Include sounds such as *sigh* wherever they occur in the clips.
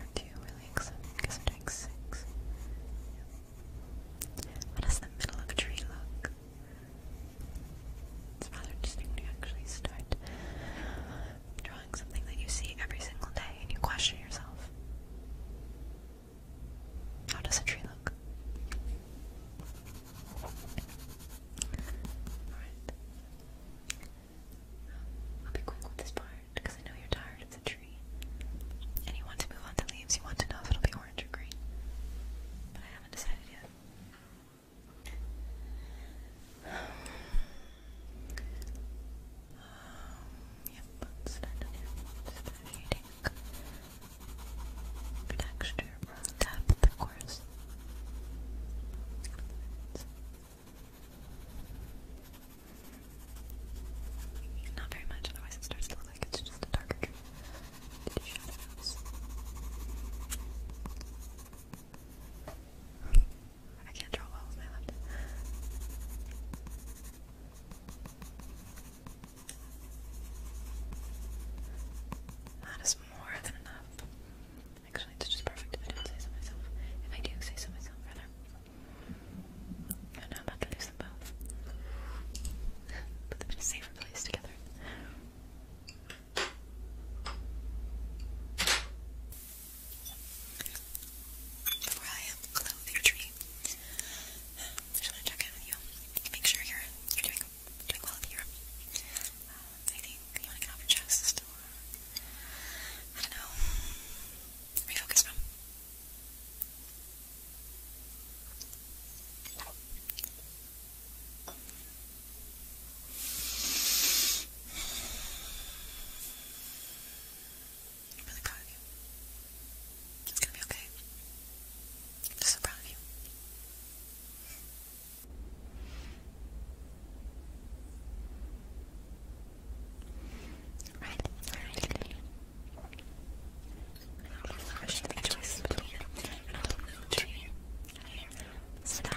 Or two, relax. Because I'm doing six. What does the middle of a tree look? It's rather interesting when you actually start drawing something that you see every single day and you question yourself. How does a tree look? Alright. I'll be quick with this part because I know you're tired of the tree. And you want to move on to leaves. You want to know if it'll be orange or green. But I haven't decided yet. *sighs* Um, yep, let's texture or depth, of course. Not very much, otherwise it starts to look like it's just a darker you shadows? I can't draw well with my left. That is more than enough. Actually, it's just perfect if I don't say so myself. If I do say so myself, rather. And I'm about to lose them both. Put them in a safer place together. Where I am, clothe your tree. I just want to check in with you, make sure you're, you're doing, doing well up here. Um, anything you want to get off your chest, I don't know, where are you focused on? i really proud you. It's gonna be okay. I'm just so proud of you. Right, alright. I don't know if the choice between an old tree and a stop,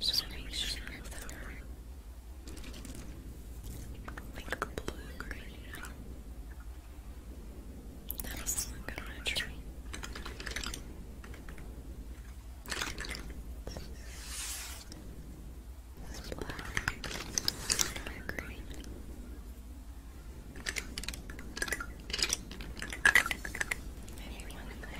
just want to make sure that blue green. That not good on a tree. This is black. Dark green.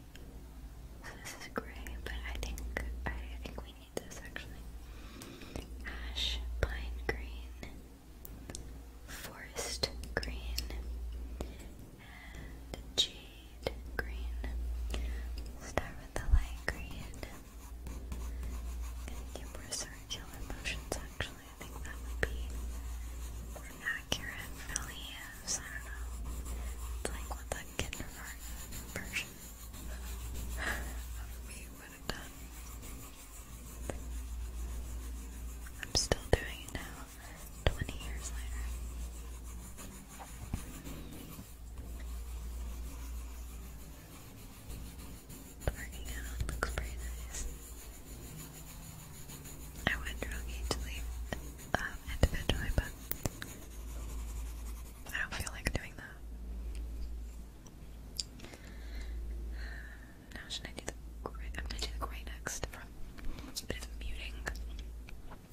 orange. So this is gray, but I think I, think we need this actually. Ash, pine green, forest green, jade green. Start with the light green. Gonna more circular motions actually. I think that would be more accurate gives. I don't know. It's like what that kindergarten version of me would have done. I'm still doing it now, 20 years later. Working out looks pretty nice. I would drug you individually, but I don't feel like doing that. Now should I do the gray? I'm gonna do the gray next from a muting.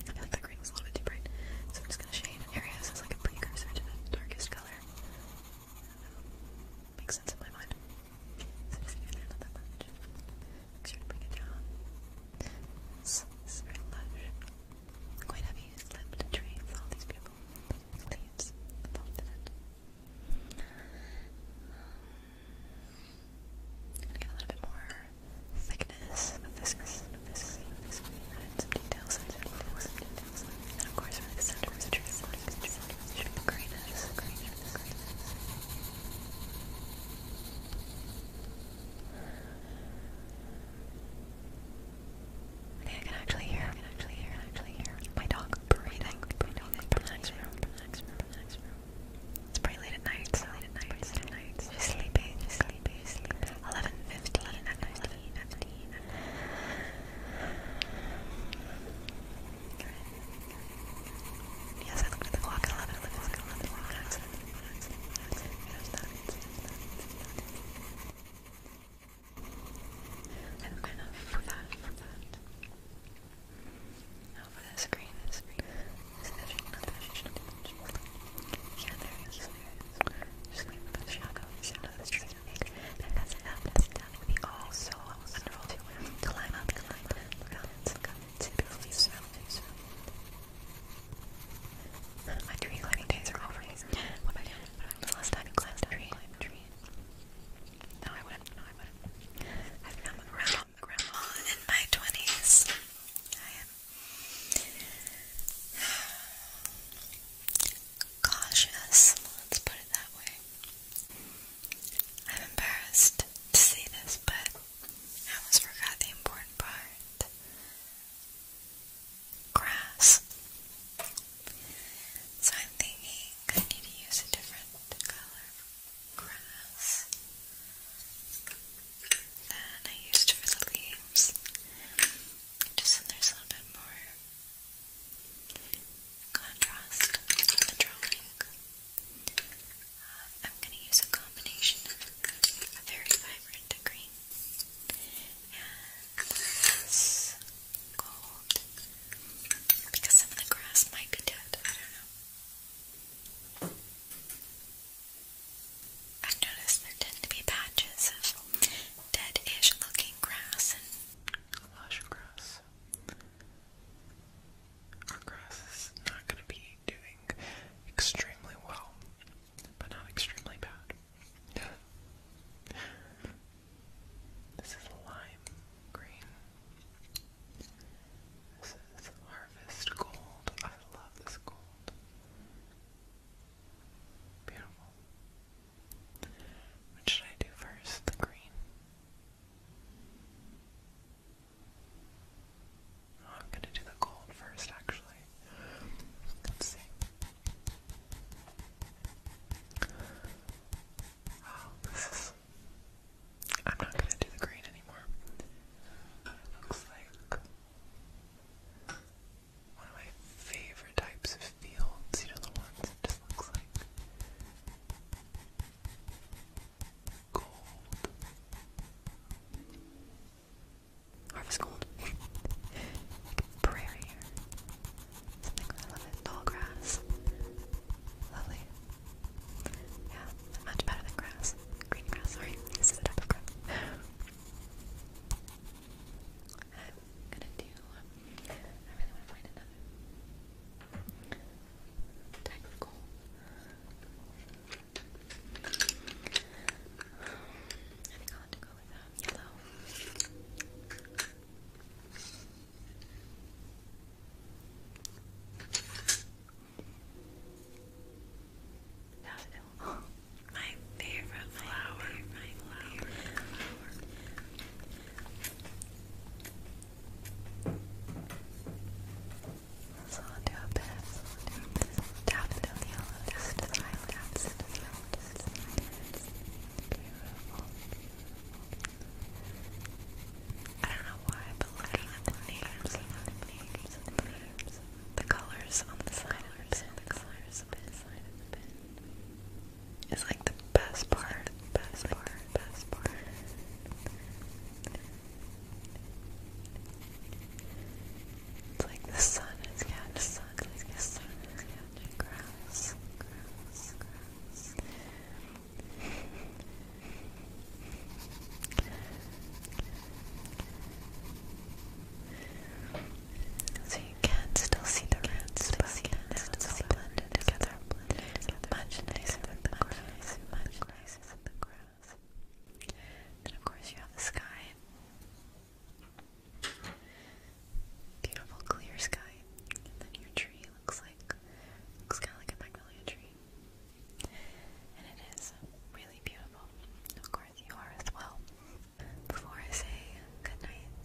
I feel like the green was a little bit too bright, so I'm just gonna shade areas as like a precursor to the darkest color. Makes sense in my mind. So just even not that Make sure to bring it down. It's, very lush. Quite heavy. It's lit with all these beautiful leaves involved in it. get a little bit more thickness of this, of this, of this. Add some details, add some details, some details. And of course, really the center is the tree, the center is the tree, the greenness, the greenness, the greenness. I think I can actually hear, I can actually hear, actually hear my dog breathing, my dog from the next room, from It's pretty late at night, so late at night, it's late at night. She's sleeping, she's sleeping, she's sleeping. Yes, I looked at the clock 11, 11, 11, 11, 11, 11, 11, 11, 11, I'm for that, for that. Now for the screen, the screen Yeah, there it is, there for the shadow, shadow that's trying to make. And that's it up, that's it down. It all so wonderful to climb up, climb up, look out, look my tree climbing days are over. What am The last time you climbed a tree? No, I wouldn't. No, I wouldn't. I've become a grandma, grandma in my 20s. I am cautious. Let's put it that way. I'm embarrassed to see this, but I almost forgot the important part. Grass. So I'm thinking I need to use a different color grass than I used for the leaves. Just so there's a little bit more contrast on the drawing. I'm going to use a combination of a very vibrant green and gold because some of the grass might be dead. I don't know. I've noticed there tend to be patches of dead-ish looking grass and lush grass. Our grass is not going to be doing extremely well, but not extremely bad. this is lime green. This is harvest gold. I love this gold. Beautiful. What should I do first? The green. Oh, I'm gonna do the gold first, actually. Let's see. Oh, this is. I'm not gonna do the green anymore. It looks like one of my favorite types of fields. You know, the ones that just looks like gold. Harvest Gold. *laughs* Prairie Something I love it. Tall grass. Lovely. Yeah, much better than grass. Green grass, sorry. *laughs* This is a type of grass. I'm gonna do. I really want to find another type of gold. I think *laughs* My favorite flower. my flower. flower. So I'll do a bit, I'll do a bit of daffodil yellow, daffodil yellow, daffodil yellow, daffodil yellow. I don't know why, but looking at the names, the names, the names, the colors on the side of the bin, the colors on the side of the bin is like the best part, best part, best part. It's like the sun is getting the sun, the sun is getting grass, So you can still still see the grass stuff. Then of course you have the sky. Beautiful clear sky. then your tree looks like looks kinda like a magnolia tree. And it is really beautiful. Of course you are as well. Before I say good night,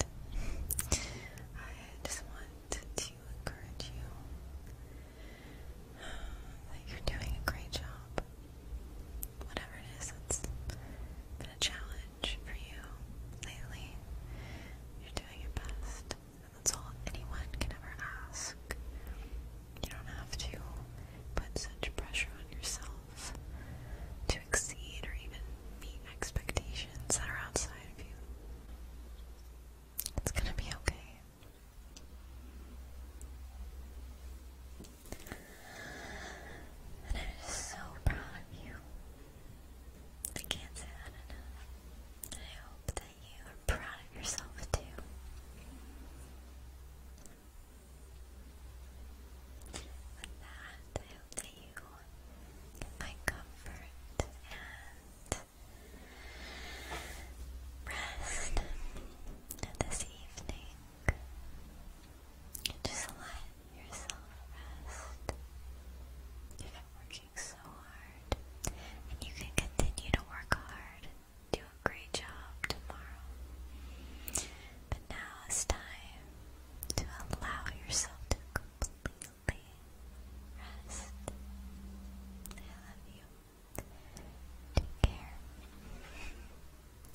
I just want to encourage you um, that you're doing a great job whatever it is that's been a challenge for you lately, you're doing your best. And that's all anyone can ever ask. You don't have to put such pressure on yourself to exceed or even meet expectations that are outside of you. It's gonna be okay. And I'm just so proud of you. I can't say that enough. I hope that you are proud of yourself too. With that, I hope that you can find comfort and rest this evening. Just let yourself rest. You've been working so hard, and you can continue to work hard. Do a great job tomorrow. But now it's time to allow yourself to completely rest. I love you. Take care.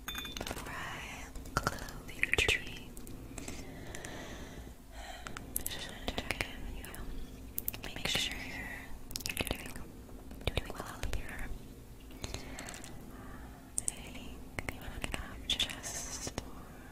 Alright, clothing tree. Just want to check in with you. Make, sure you're, doing, doing well here. I think you just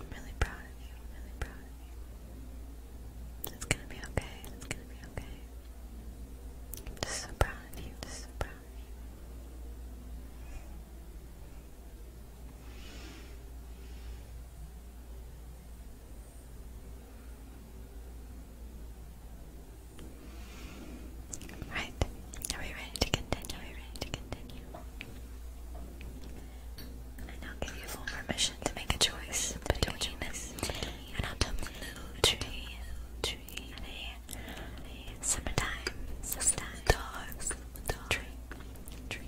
I'm really proud of you. really proud of you. It's gonna be okay. It's gonna be okay. I'm just so proud of you. Just so proud of you. Right. Are we ready to continue? Are we ready to continue? I'll give you full permission to make a choice between, between this and autumn tree, tree, summertime, summertime dog, dog tree, tree.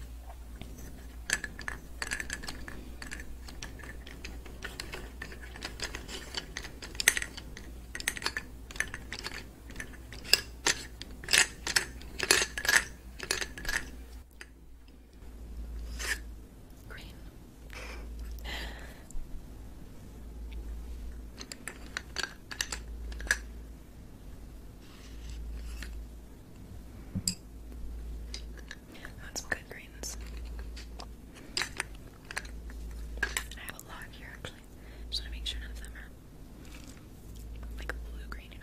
Green. That's some good greens. I have a lot here actually. Just want to make sure none of them are like blue green.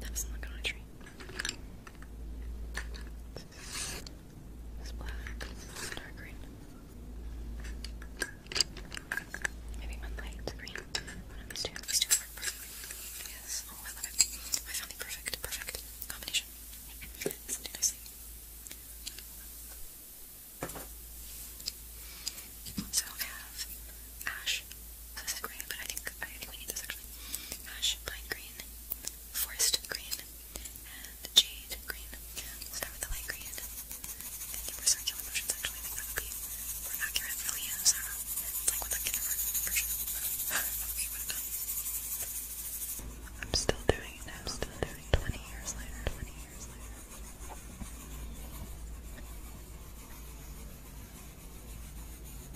That's not look on tree. It's black, dark green. Maybe one light green. One of these two. These two work perfectly. Yes. Oh, I found the perfect, perfect combination. Something nicely. So I have ash, so this is gray, but I think, I think we need this actually. Ash, pine green, forest green, and jade green. start with the light green. I think circular motions actually, I think that would be more accurate. Oh yeah, sorry. It's like with the kindergarten version. *laughs* I'm still doing it I'm still doing 20 years later, 20 years later.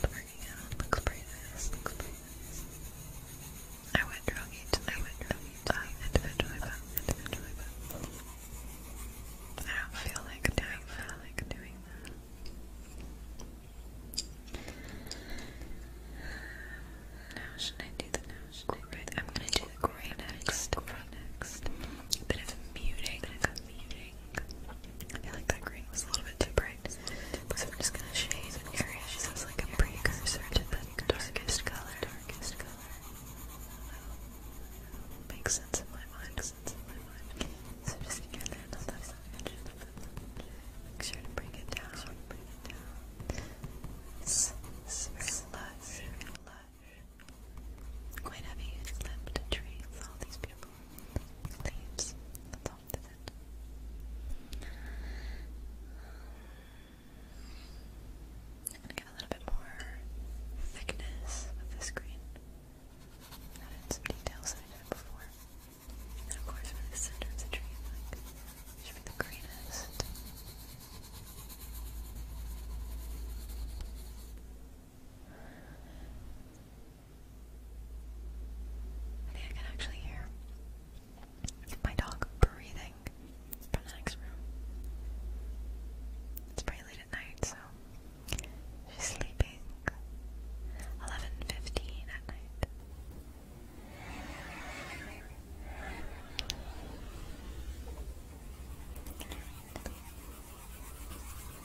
Bringing it looks pretty nice. Looks pretty nice. I went druggy I went druggy tonight. Uh, individually, but individually, but I don't feel like doing that. I like doing that. Now should I do the now? I am gonna do the gray next. Gray next. Bit of muting. Bit of muting. I feel like that green was a little bit too bright, so I'm just gonna shade an area. She says like a precursor to the darkest color. Darkest sense in my mind. So just get that left edge. Make sure to bring it down. lush. lush. Quite heavy, it's limbed trees, all these beautiful leaves. That's all that's it. get a little bit more thickness of the screen. Added some details I did before. And of course for the center of the tree, like it the greenest. I think I can actually hear my dog breathing from the next room. It's pretty late at night, so she's sleeping. Eleven fifteen at night.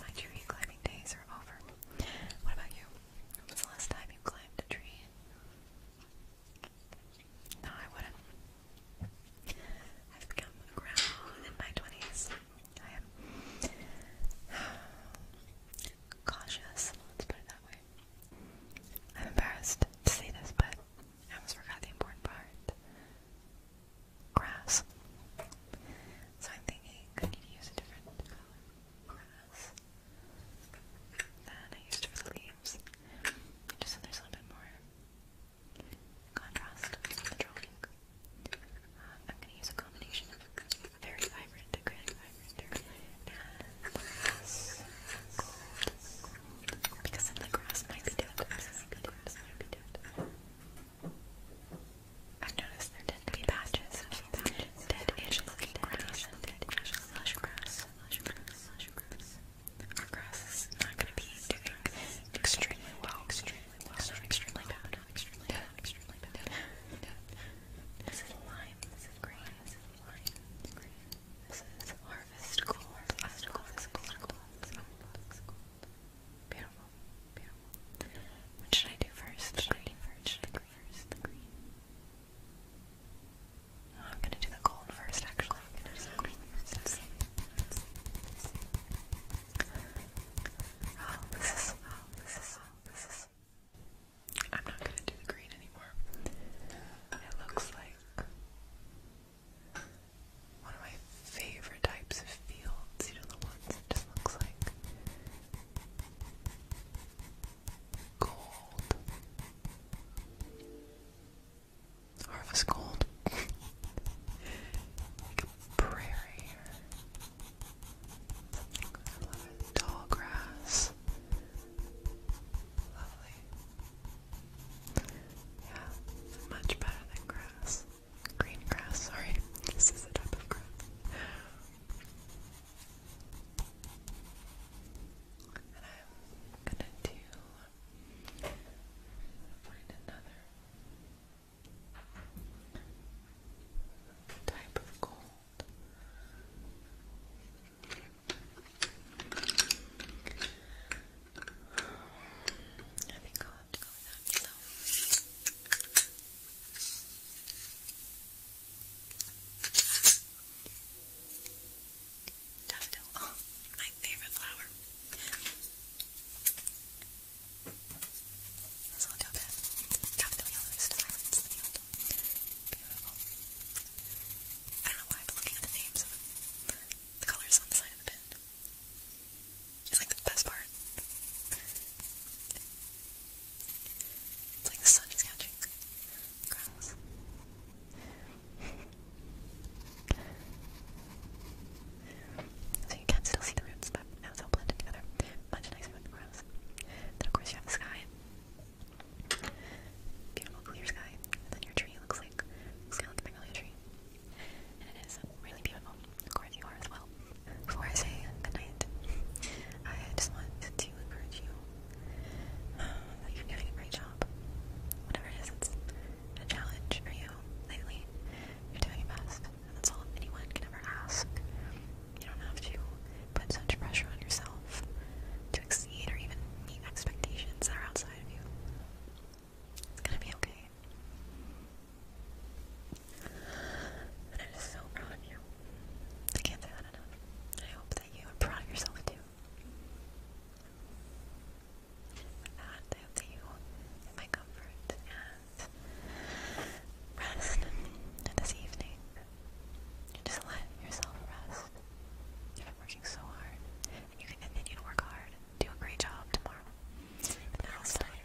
My tree climbing days are over. What about you? When the last time you climbed a tree? No, I wouldn't. I've become a in my 20s. I am *sighs* cautious, let's put it that way. I'm embarrassed to say this, but I almost forgot the important part grass. So I'm thinking I need to use a different color grass than I used for the leaves. Just so there's a little bit more contrast on the drawing. Uh, I'm going to use a combination of very vibrant, acrylic vibrant, and grass. Because then the grass might be dead. I've noticed there tend to be patches of patches, dead-ish looking grass, dead-ish lush grass, lush grass, lush grass. Our grass is not going to be doing extremely well, extremely well, not extremely bad, not extremely bad, extremely bad. This is lime, this is green, this is lime, this is green. This is harvest gold, harvest gold, this is gold, this is gold, this is gold. Beautiful. What should I do first? The green oh, I'm gonna do the gold first, actually. Oh, this is. Oh, this is. this is. I'm not gonna do the green anymore. It looks like one of my favorite types of fields, you know, the ones just looks like gold. Harvest gold. *laughs* like a prairie or Tall grass. Lovely. Yeah, much better than grass. Green grass, sorry. This is a type of grass. And I'm gonna do find another type of gold. I think i I'll Daffodil. my favorite flower. Let's look at that. Daffodil is Beautiful. I don't know why, but looking at the names the colors on the side of the pin. It's like the best part. It's like the sun is catching grass. So you can still see the roots, but now it's all blended together. Much nicer with the grass. Then of course you have the sky. Beautiful clear sky. And then your tree looks like kinda like a magnolia tree and it is really beautiful. Of course, you are as well. Before I say good I just want to encourage you um, that you're doing a great job. Whatever it is, it's a challenge for you lately. You're doing your best, and that's all anyone can ever ask. You don't have to put such pressure on yourself to exceed or even meet expectations that are outside of you. It's gonna be okay. And I'm so proud of you. I can't say that enough. I hope that you are proud of yourself too. With that, I hope that you get my comfort and rest this evening. just let yourself rest. You've been working so hard. And you can continue to work hard. Do a great job tomorrow. And now it's time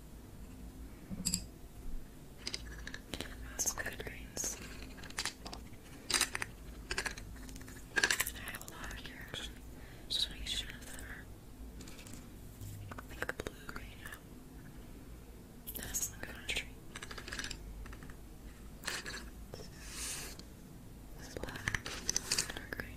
That's good greens. I have a lot here actually. Just make blue green That's the country. That's black. Dark green.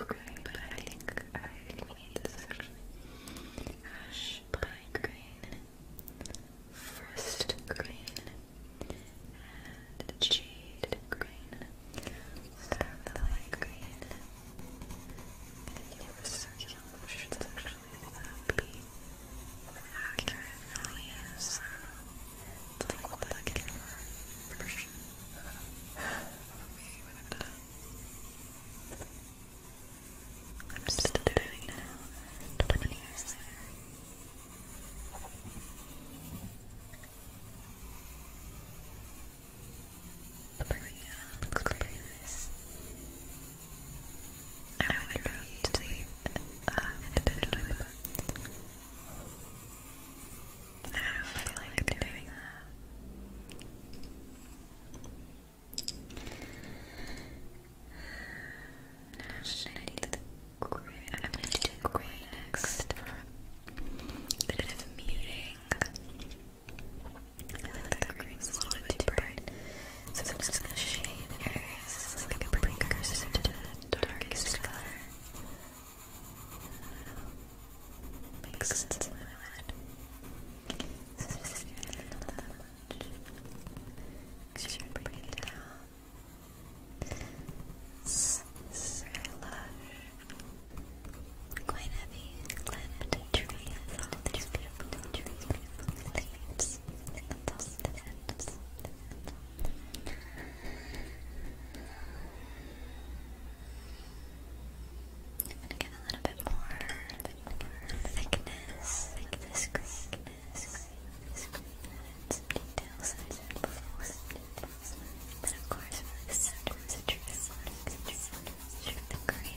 Okay, but I think I need this actually. Ash pine green, frost green, and jade green. Starlight green. And you were so young. I'm sure that's actually that be accurate. Really is. It's like the version of me when I'm done. I'm still doing it. now. 20 years I went to sleep intentionally I don't feel like doing that. Now I need the gray. I'm going to do gray next for a bit of muting. I a little bit too bright. So I'm just gonna shade areas like a precursor to the darkest color. Makes sense in my head. This is not that much. Make sure to bring it down. It's very lush. Quite heavy. leaves. I'm get a little bit more, a little bit more thickness, thickness, crinkness, crinkness, crinkness, details I said before. But of course, for the center of the tree, the greatest, the greatest. Okay,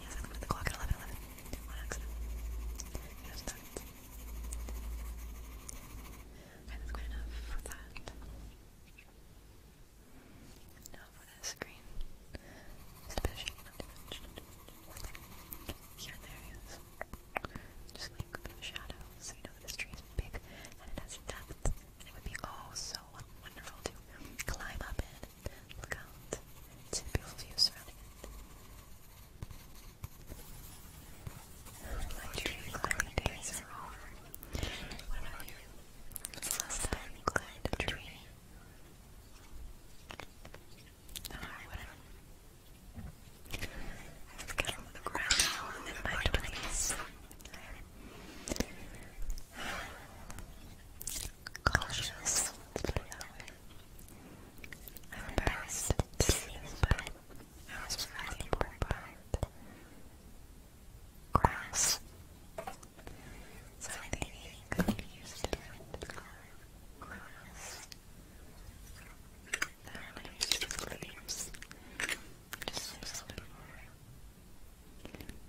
Yes, I looked at the clock at 11 11. On accident. You Okay, that's good enough for that. Now for the screen. Here and there, Just like a bit of shadow, so you know this tree is big and it has depth. it would be oh so wonderful to climb up in Look out. It's a beautiful view surrounding it. My tree climbing over. What about you? last time you climbed a tree? No, I would I've come on the ground in my twenties. *sighs* cautious. Let's put it that way. I'm embarrassed to see this, but I was really important part. Grass. Something could be used to color grass. Now I use the leaves. Just a little bit more.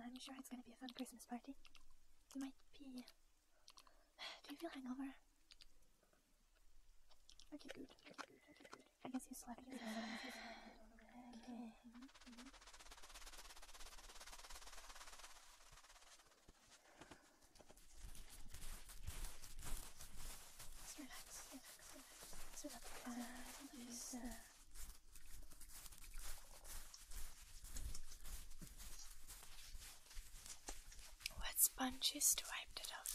I'm sure it's gonna be a fun Christmas party. It might be. *sighs* Do you feel hungover? Okay, I guess you slept yesterday. *sighs* okay. Mm-hmm. Just relax, relax, relax. Just What sponges to wipe that off?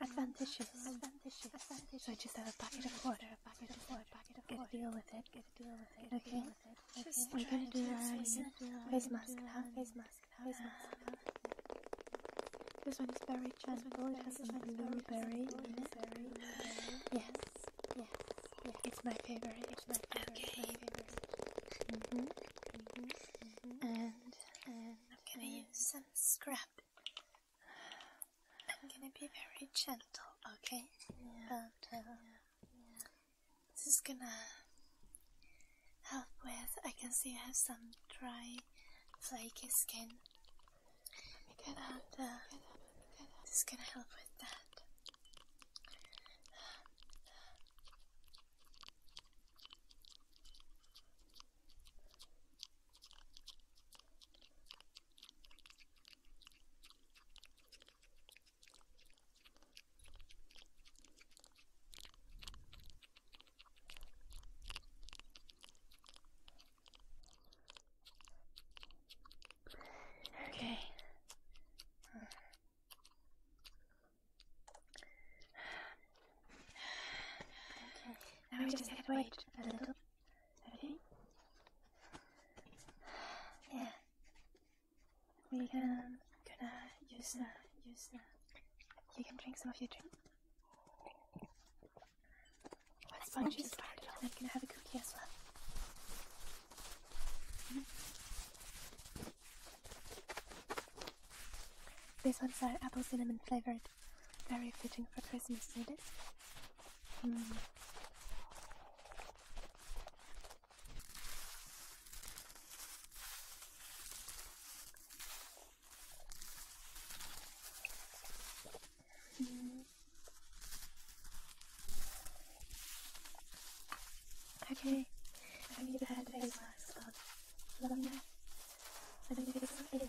advantageous. advantageous. advantageous. So I just have a bucket of water, a bucket of water, bucket of water. Get a deal with it. Get a deal with it. Okay. okay. We're gonna do our face mask now. Face mask now. Face mask now. This one is very gentle. It has some blueberry in it. Yes. Yes. Yes. It's my favorite. It's my favorite. Okay. My favorite. Mm-hmm. Mm-hmm. Mm-hmm. And and I'm gonna use some scrap. I'm gonna be very gentle, okay? Um, yeah. this is gonna help with. I can see you have some dry, flaky skin. Get out, uh, get up, get up. This is gonna help with that. Okay. Okay. Now we just wait a little. Ready? Yeah. We can gonna use uh, use uh, you can drink some of your drink. Once sponge started, I'm gonna have a cookie as well. Mm ones are apple cinnamon flavored. Very fitting for Christmas, isn't it? Mm. Okay, I need a head face mask on. I don't think it's not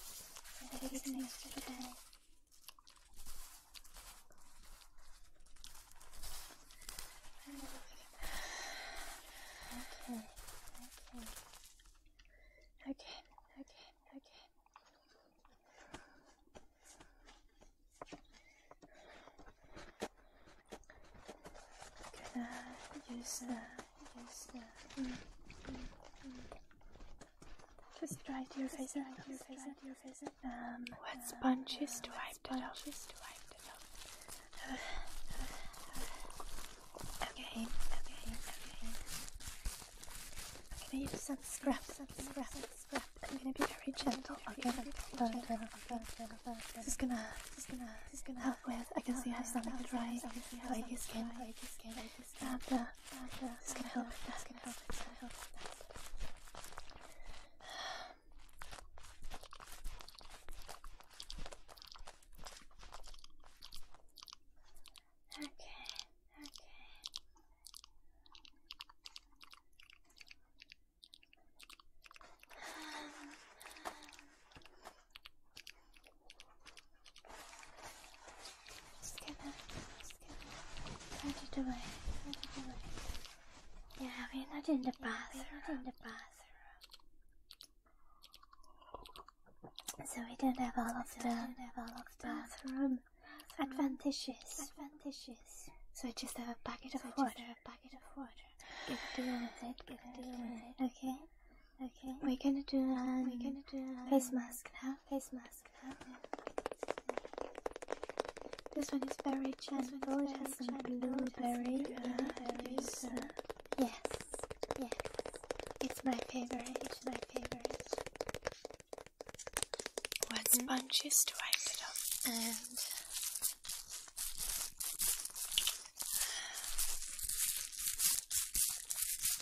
I did it yesterday. Okay, okay. Okay, okay, okay. Can I use that? Just dry to your face and your face and your face. Um, what sponges do I sponges do I put up? Okay, okay, okay. I'm gonna use some scrap, some scrap, scrap. I'm gonna be very gentle. Okay, this is gonna, this is gonna, this is gonna up with. I can see you have some of the dry, oily skin. And uh, it's gonna help with that. It's gonna help with that. Okay, okay. Um, um, just gonna, just gonna put it away, put it away. Yeah, we're not in the bathroom. Yeah, we're not in the bathroom. So we don't have all of the, do of the bathroom, bathroom advantages. Advantages. So I just have a bucket of water. Just have a bucket of water. it. Get deal with Okay. Okay, we're gonna do um, we're gonna do um, face mask now. Face mask now. This one is very gentle. It has some blueberry. Yes. Yes. It's my favorite. It's my favorite. What hmm? sponges do I put on? And yeah.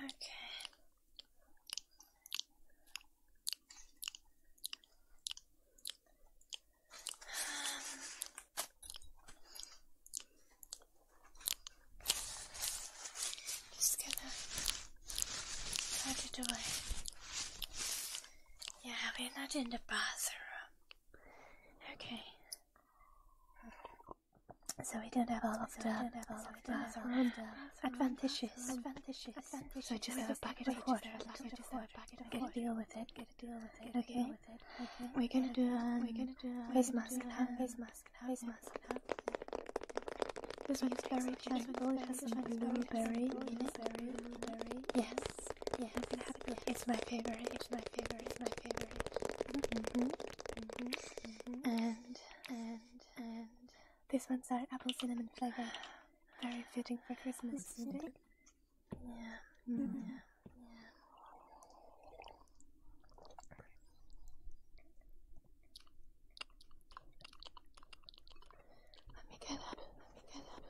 Let Okay. Just gonna put it Yeah, we're not in the bathroom. Okay. So we don't have all of the, of the, advantages. advantages. advantages. So just have a bucket of water. Bucket of water. Get a deal with it. Get a deal with it. Okay. okay. We're gonna do um, we're gonna do um, face mask now. Face mask now. Face mask now. This one's very gentle. It has some blueberry in it. Berry. Yes. Yes. yes. It's my favorite. It's my favorite. It's my favorite. Mm-hmm. Mm-hmm. Mm-hmm. And and and. This one's our apple cinnamon flavor. Very fitting for Christmas, isn't it? Yeah. Mm-hmm. Mm-hmm. Let me get up. Let me get up.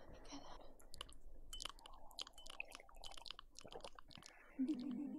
Let me get up. Mm-hmm.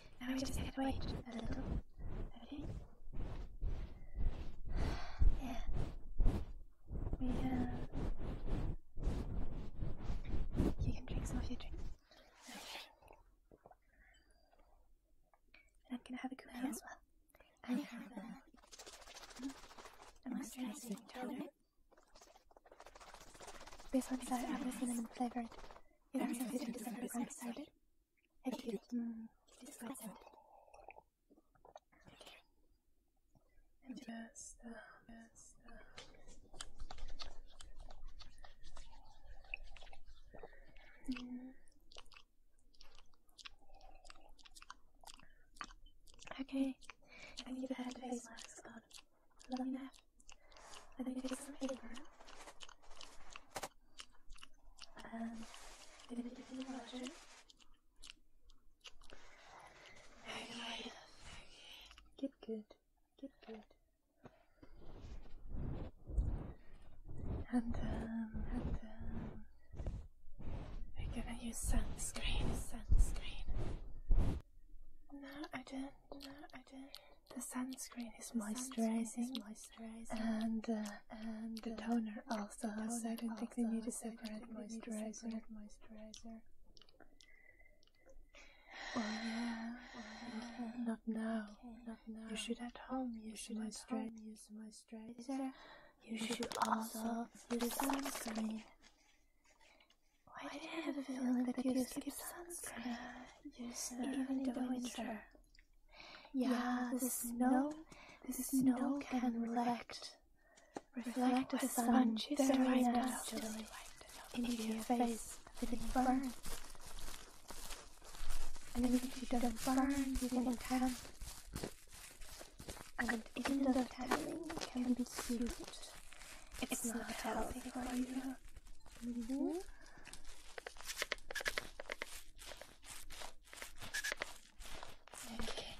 Now we just wait a little, okay? Yeah. We, uh... You can drink some of your drinks. Okay. I'm gonna have a cookie no. as well. I have a... Hmm? A moisturizing toner. This one's uh, apple cinnamon flavored. Every Sunday and December is excited. Have you killed them? It is quite Okay, I need a head face mask on. Let me know. I'm going to take some paper and I'm going to give the letter. Very Get good. Get good. Um, and, um, we're gonna use sunscreen, sunscreen. No, I don't, no, I don't. The sunscreen is moisturizing, and uh, and the uh, toner also. So I don't think they need a separate moisturizer. Or, yeah, not now. Not now. You should at home use moisturizer. You should also use sunscreen. Why do you have a feeling that you skip sunscreen? Yes, uh, even in the winter. Yeah, the snow, the snow can reflect, reflect the sun just right now, Julie, into your face, but it burns. And if you don't burn, you can tan. And even though tanning can be cute, it's not healthy for you. 그리고 이렇게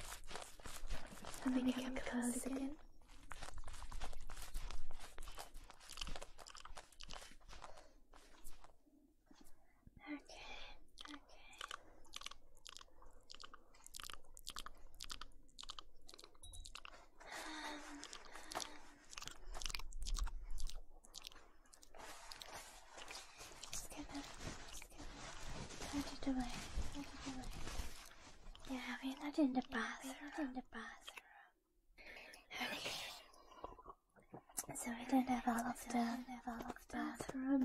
선생님 가슴 Okay, okay. Um, just gonna, just gonna put it away, put it away. Yeah, we're not in the bathroom. We're not in the bathroom. Okay. So we don't have all of the, all of the bathroom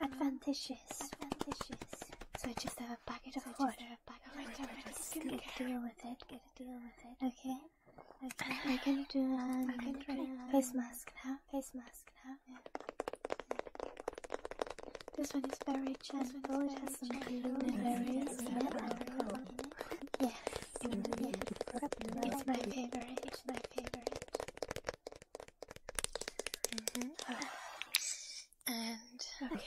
advantages. Advantages. So I just have a packet of so water. I just have a packet of water. Get a deal with it. Get a deal with it. Okay. I can, I can do um, I can try um, face mask now. Face mask now. Yeah. Yeah. This one is very gentle. It has some blueberries and apple. Yes, it's my favorite. It's my favorite. Mm-hmm. *sighs* And okay.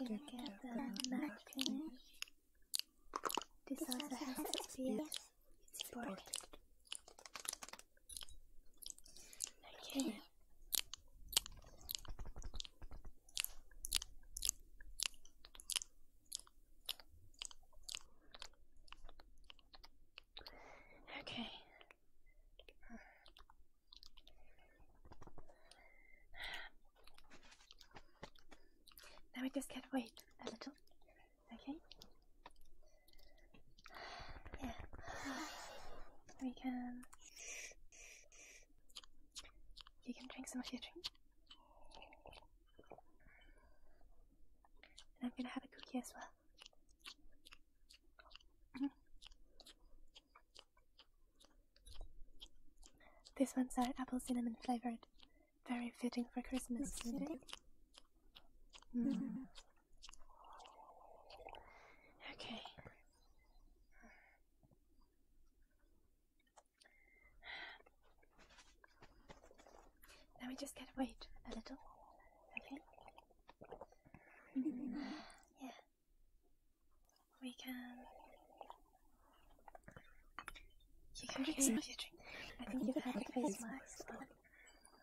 Look at the marketing. This also has SPS support. Okay. Okay. Now we just can't wait a little, okay? Yeah. We can. You can drink some of your drink. And I'm gonna have a cookie as well. Mm-hmm. This ones our apple cinnamon flavored. Very fitting for Christmas, isn't it? Hmm. Okay. Now we just got wait a little, okay? *laughs* Yeah. We can. You can get some of your drink. I think you can have a face mask.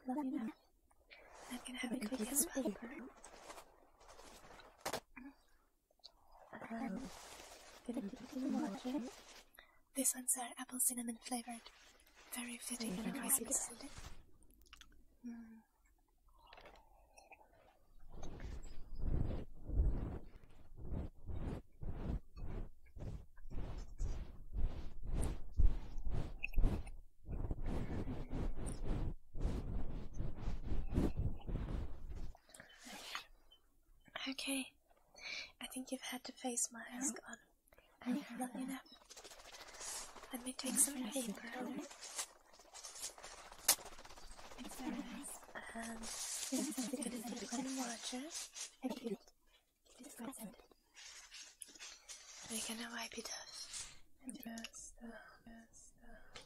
Love you now. I'm gonna have a quick as well. Um, gonna um, give you ones are apple cinnamon flavored. Very fitting for and crispy. Mm. Okay, I think you've had to face my mask on. I think long enough. Let me take some paper. It's very nice. Um, this is the Division Watcher. It's present. We're gonna wipe it off. And just, uh, just, uh,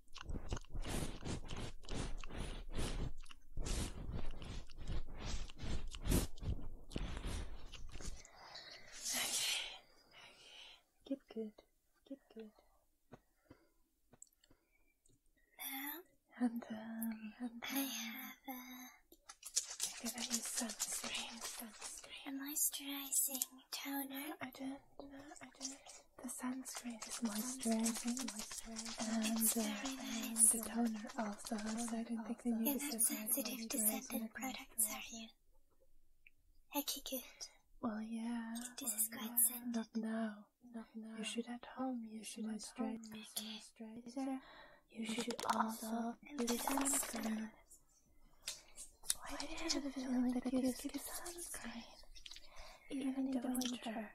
Okay. Get good. Get good. Now, and, um, I have a. Give me sunscreen, sunscreen. A moisturizing toner. No, I don't. No, I don't. The sunscreen is moisturizing, and, uh, the toner also, so I don't think they need you sensitive to certain products, are you? Okay, good. Well, yeah. This is quite scented. Not now. You should at home use should moisturizer. You should also use sunscreen. Why did I have the feeling that you skipped sunscreen? Even in the winter.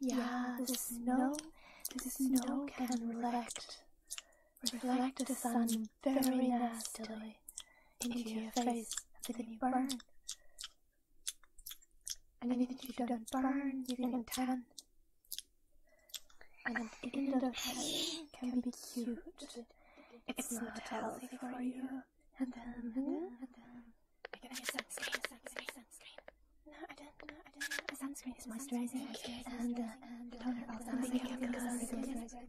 Yeah, the snow, the snow can reflect, reflect the sun very nastily into your face, and then you burn. And even if you don't burn, you can tan. And in the pain can be cute. It's not healthy for you and then, and then, and then. I gotta get sunscreen, sunscreen, sunscreen. No, I don't, no, I don't. The sunscreen is moisturizing, and uh, the toner also. I think I'm gonna moisturizer.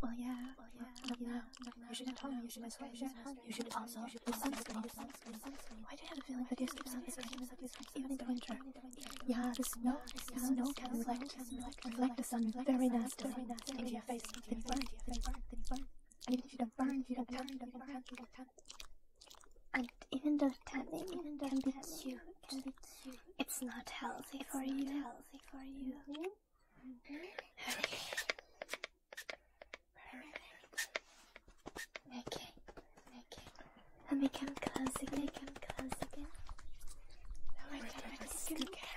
Well, yeah, well, yeah, well, yeah. You should tell me, you should moisturize. You should also use sunscreen. Why do you have a feeling that you skip sunscreen, even in the winter? Yeah, the snow, the snow can reflect reflect the sun very nasty into your face, then you burn, then you burn, then you burn. And even if you don't burn, if you don't tan, you don't burn, you don't tan. And even though tanning even though can be cute, it's not healthy for you. Healthy for you. Okay. Okay. Okay. And we can close again. We can close I can skincare.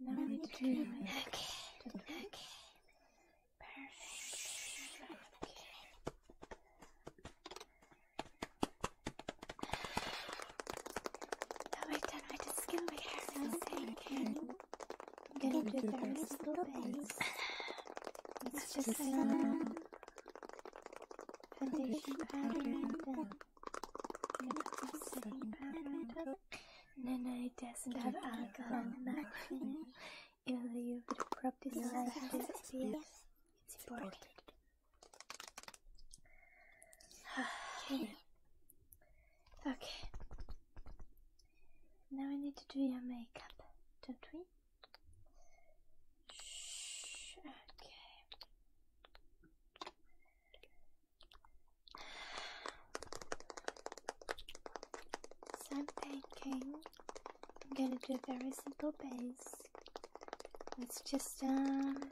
Now we Okay. Okay. Perfect. Now we're done with the skin we have. Now I'm gonna do the rest of the base. *laughs* It's just some uh, foundation powder and then. Powder and then. Nanai Desdad Agahan Makin. Even though you've property life disappears, it's important. okay. okay. Now we need to do your makeup, don't we? Okay. So I'm thinking I'm gonna do a very simple base. It's just um,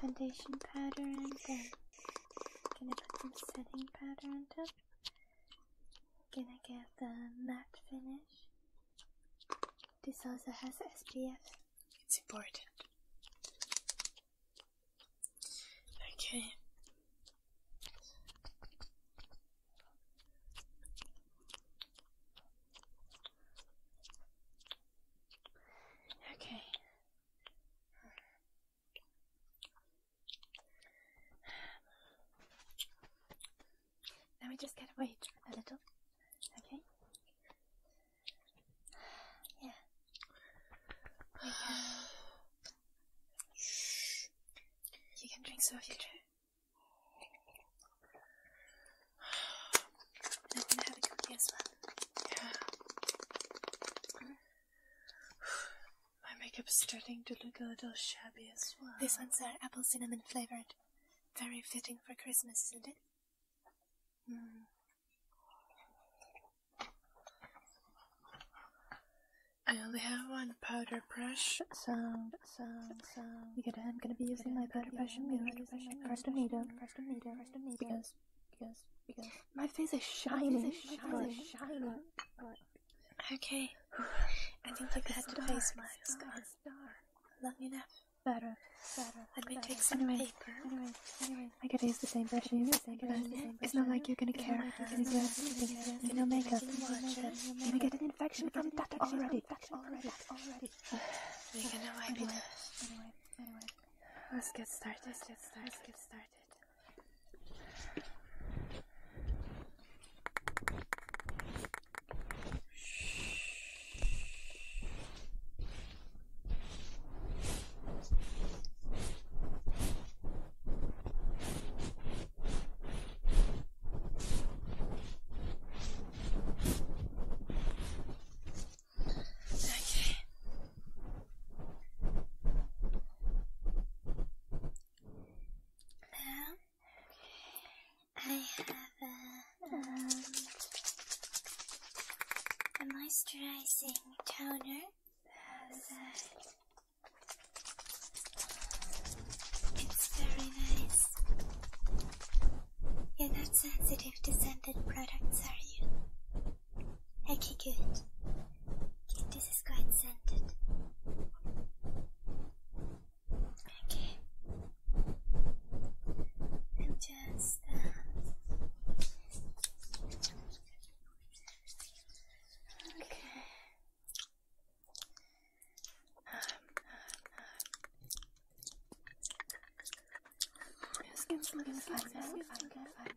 foundation powder and then I'm gonna put some setting powder on top. I'm gonna get the matte finish. This also has SPF. It's important. Okay. Okay. Now we just gotta a little. Okay. Yeah. You *sighs* can, you can drink some of your drink. I'm gonna have a cookie as well. Yeah. My makeup is starting to look a little shabby as well. These ones are uh, apple cinnamon flavored. Very fitting for Christmas, isn't it? Mm. I only have one powder brush. Sound, sound, sound. You get it? I'm gonna be using my powder brush and mirror. Carstomato, carstomato, carstomato. Because, because, because. My face is shining. My face is shining. Face is shining. Okay. *sighs* I think like that star, face mask on. Long enough. Better, better. Let me better. take some anyway, paper. Anyway, anyway. I could use the same brush It's not like you're gonna care. It's your skin. It's no makeup. You're get an infection from that already. Already. Already. *sighs* We're gonna wipe it. Anyway. Anyway. Let's get started. Let's get started. Let's get started. Okay. Now I have a, um, moisturizing toner it's very nice. You're not sensitive to scented products, are you? Okay, good. Okay, this is quite scented. Okay. I'm just uh, Okay.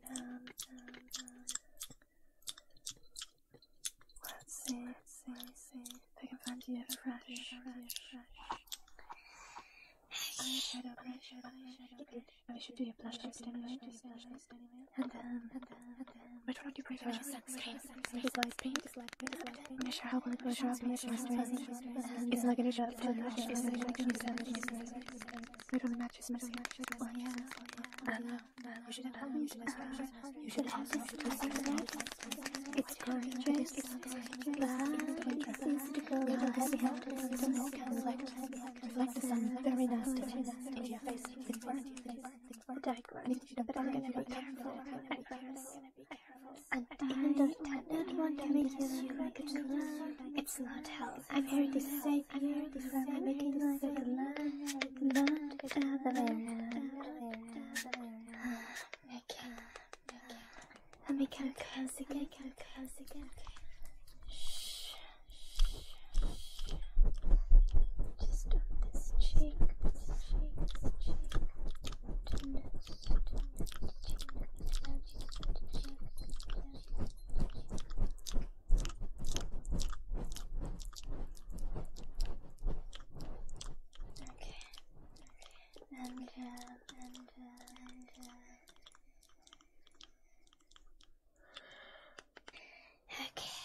Um, Let's see, let's see, let's see if I can find you a fresh, fresh, fresh. Eyeshadow, eyeshadow, I should um, which one would you prefer? It's light pink. I'm not sure how well it will show up in this It's not gonna show up till much. It's gonna show up We It's gorgeous. It's gorgeous. It's gorgeous. It's gorgeous. It's gorgeous. It's gorgeous reflect the sun very nasty in your face. It's burnt. Protect me. Protect me. And I don't, I don't want to make you look like a clown. It's not hell. I'm here to save you from making you look like a clown. Not the other way around. Okay. Let me come close again. Come close again. Shh. Just on this cheek, this cheek, this cheek. Tenderness, tenderness, tenderness. Now just go to cheek, cheek. Okay. And, uh, and, uh, and, uh. Okay,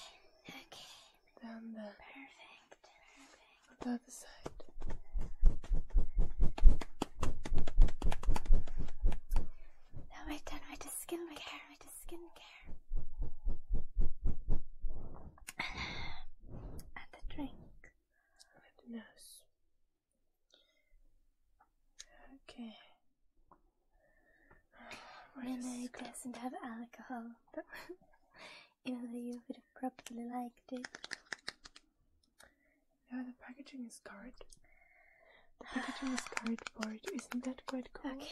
okay. Down Perfect, perfect. On the side. Now we done with the skincare, with the skincare. and the drink. With the nose. Okay. *sighs* Rene doesn't have alcohol, but *laughs* even though you would have probably liked it. Yeah, the packaging is cardboard. The packaging is cardboard. Isn't that quite cool? Okay.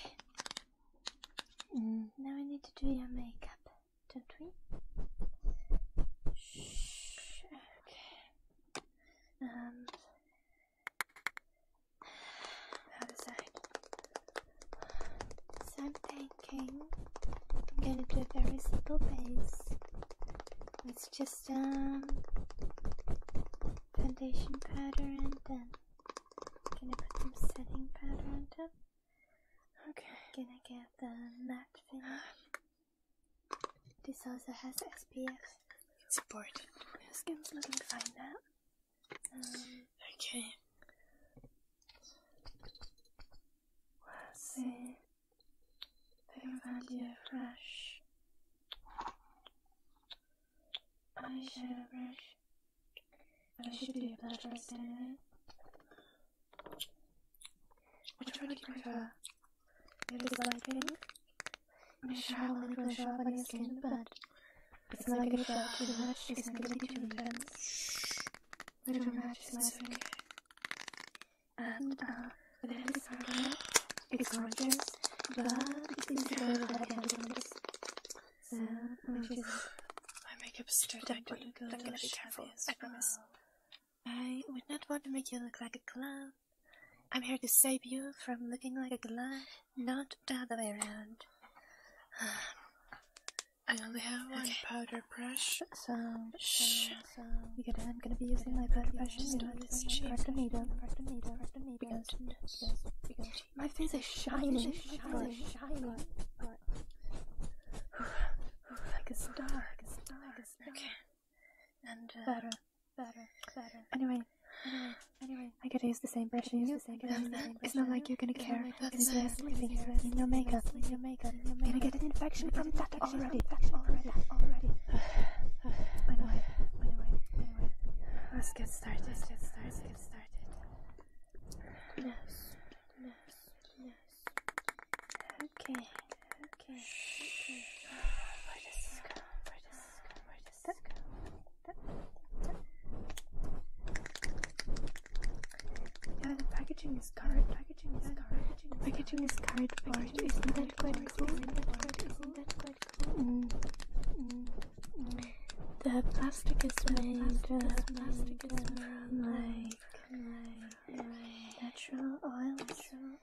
Mm. Now we need to do your makeup, don't we? Okay. Um outside. So I'm thinking I'm gonna do a very simple base. It's just um foundation powder and then I'm gonna put some setting powder on top. Okay. I'm gonna get the matte finish. This also has SPF. It's important. My skin's looking fine now. Okay. Let's see. Vivalia Fresh. Eyeshadow brush. I should do a better standard. Which do you prefer? It is light I'm I will go show up on your skin, but it's not gonna show too much. It's gonna be too intense. Little matches my finger. And, uh, then it's not it's gorgeous, but it didn't show that handsomeness. So, which is... My makeup is too to be I would not want to make you look like a clown. I'm here to save you from looking like a clown not the other way around. I only have one powder brush. So, Shh. because I'm gonna be using my powder brush to do this needle, because, because, because my face is shining, shining, shining, like a star, like a like a star. Okay. And uh, better better, better. Anyway, anyway, anyway. I could use the same brush. I use the same brush. It's not like you're gonna care. It's just leaving your makeup, your makeup. I'm gonna get an infection from that already. That already, already. Anyway, anyway, anyway. Let's get started. Let's get started. Let's get started. Yes, yes, yes. Okay, okay, okay. Where does this go? Where does this go? Where does this go? Yeah, the packaging is current. Packaging is current. Packaging is current. isn't that quite cool? The plastic is made. The plastic is made from like natural oils. Natural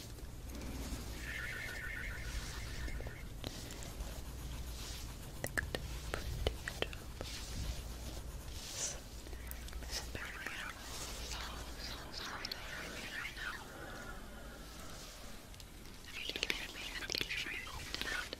think good job. This is very real. So, so sorry that you now. If you did me and get tonight, it's like you're in the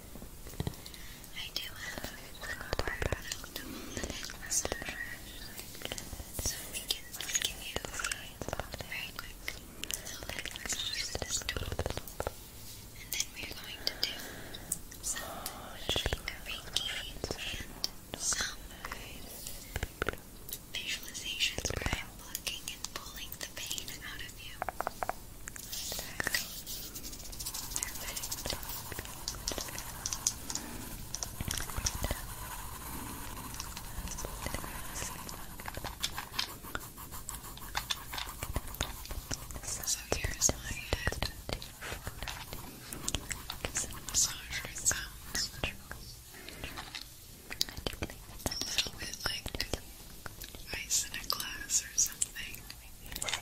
I do have one more product last so we can give you very quick. And then we're going to do some finger and some visualizations where I'm and pulling the pain out of you. There I So here's my head. Massager sounds. like ice in a glass or something. Maybe you it. Have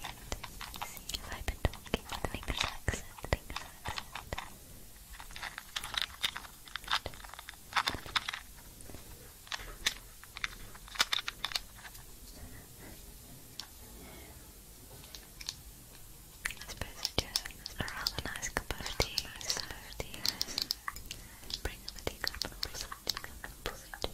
I been talking with English accent? English accent? I suppose we just a rather nice cup of tea, nice cup of tea. Bring a teacup, a teacup, a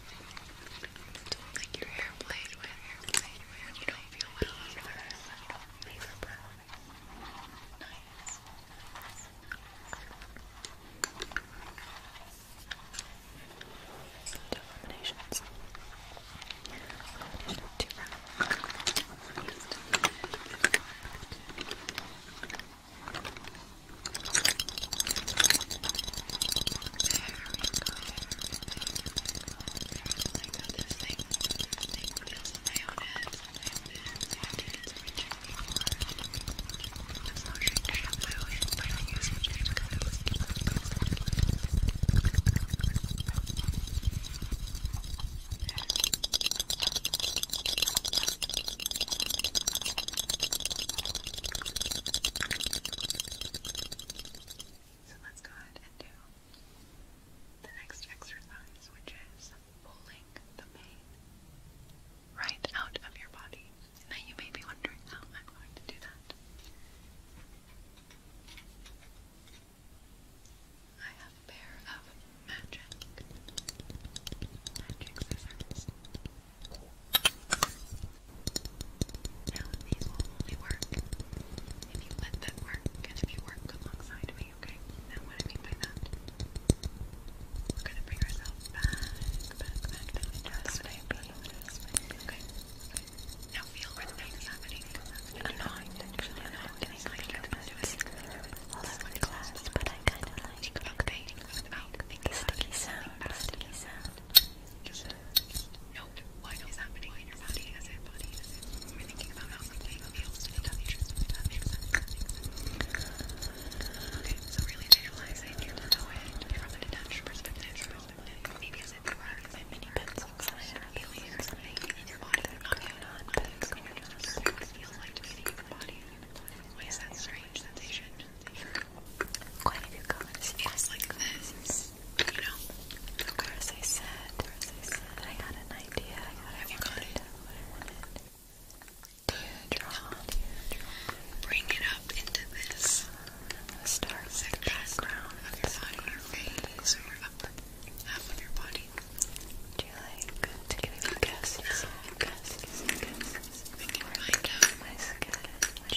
do like your hair played with, hair played You don't feel well after that. Nice. Two combinations. Combination this thing, thing feels in my own head. I did it to Richard before. That's not shaped to shampoo, but I use it because it was yeah. So let's go ahead and do the next exercise, which is pulling the pain right out of your body. Now you may be wondering how I'm going to do that. I have a pair of magic magic scissors. Now these will only work if you let them work and if you work alongside me, okay? Now what I mean by that, we're gonna bring ourselves back, back, back down into this way, okay? Now feel where happening. I'm not intentionally doing this. This one but I kind of like. Okay, think about the sound, sticky sound. Just, just note what is happening in your body as it body we're thinking about how something feels to the touch. That That makes sense. Okay, so really visualize it, feel into it from a detached perspective, Maybe as if you were my mini pencil feeling something in your body, not you, not, but you it feels like to be in your body. What is that strange sensation? quite a few like this, you know. I said, I had an idea. I wanted. Do draw? Bring it up into this. The star background of your body, your face, or your upper half of your body. Do you like to give me guesses? Guesses, guesses. I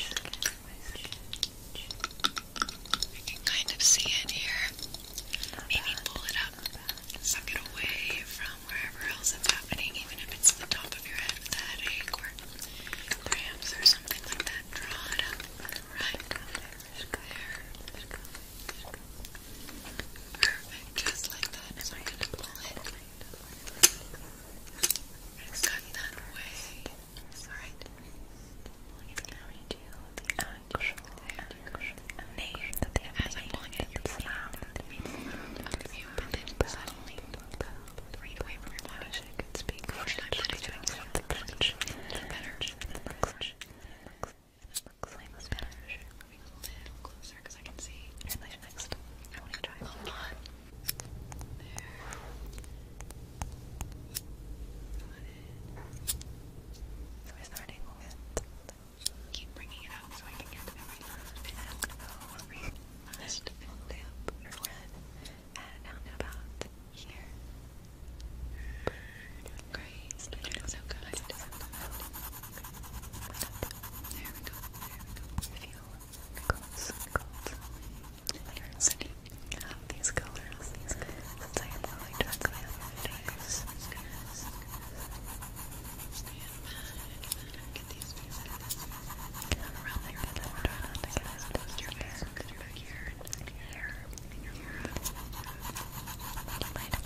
can kind of see it here. Maybe pull it up, suck it away from wherever else it's happening, even if it's the top of your head with a headache or something like that. Draw it up. Right there. Perfect, just like that. So I'm gonna pull it. It's that way. Alright. It's going the actual, actual name that they have. As I'm pulling it, you the main you, but then suddenly read away from I wish I could speak. Sometimes I'll be doing something much better. It looks, it looks like it's better. Moving a little closer because I can see. And next, I want to try a lot. We're starting with keep bringing it out so I can get to every last bit of every last lip or red and down to about here. Great, it's looking so good. It's so good. There we go, there we go. Feel close, close diversity of these colors since I have only done the other days. Around there, but I'm trying not to get your face because you're back here and here and your Light up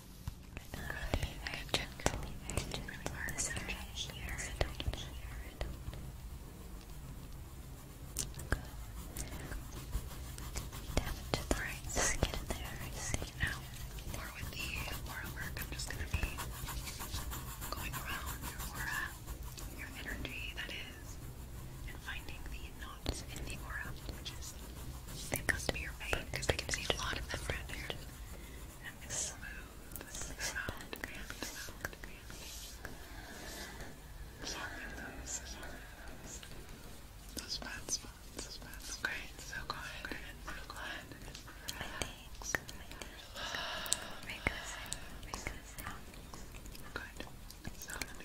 Be very gentle. gentle. This area here. don't hear it. Good. Tap the right side. Get in there. Just get out. Or with work, I'm just gonna be going around your aura, your energy, that is, and finding the knots in the aura, it comes to your because I can a lot of them around here. And it's smooth, it's sound, grand, sound, grand. Sorry, those, spots, those spots. Great, so go so go ahead and relax. Make a sound,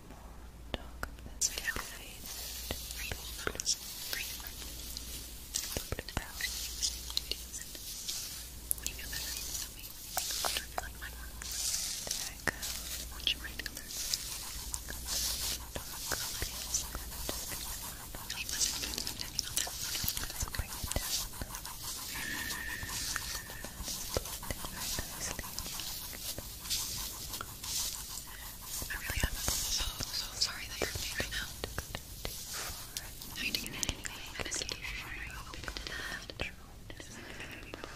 be more dark this caffeine blue, blue, blue powder there I go watch right color dark bring it down I really am so, so sorry that you're me right now. I mean, anyway, I just keep trying open to that. Okay. Sometimes it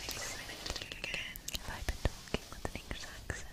takes a minute to do it again. Have I with an English accent?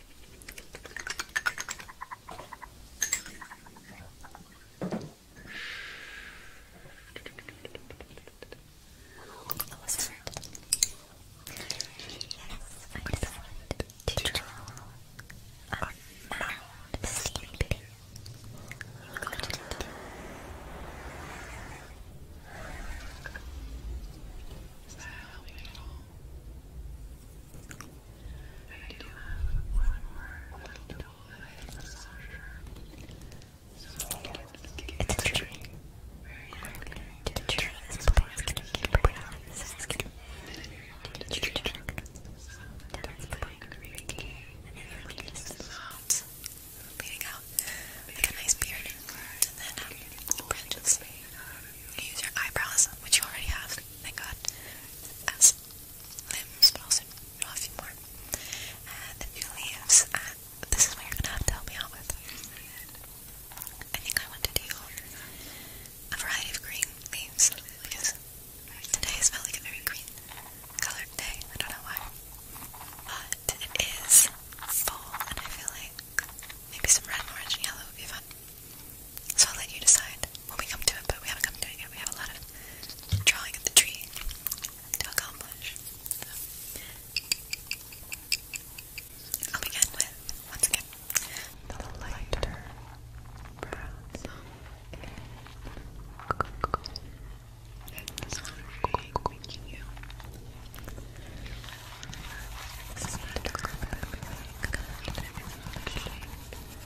That was hard. Yes, I just wanted to draw a mound steam pig. Look at it. Is that helping at all? I do have one more little tool that I have so I'm going to give it a tree. Very quickly. The tree is always going to keep putting on the skin. The tree is going to be making it leading out like a nice beard. And then um, branches. You use your eyebrows, which you already have, thank god, as limbs, but also not a few more. a few leaves. Uh, this is what you're gonna have to help me out with. I think I want to do a variety of green leaves because today smells like a very green colored day. I don't know why. But it is fall and I feel like maybe some red, orange, and yellow would be fun. So I'll let you decide when we come to it, but we haven't come to it yet. We have a lot of drawing of the tree to accomplish. I'll begin with, once again, the lighter browns and really winking you. This is not a good, but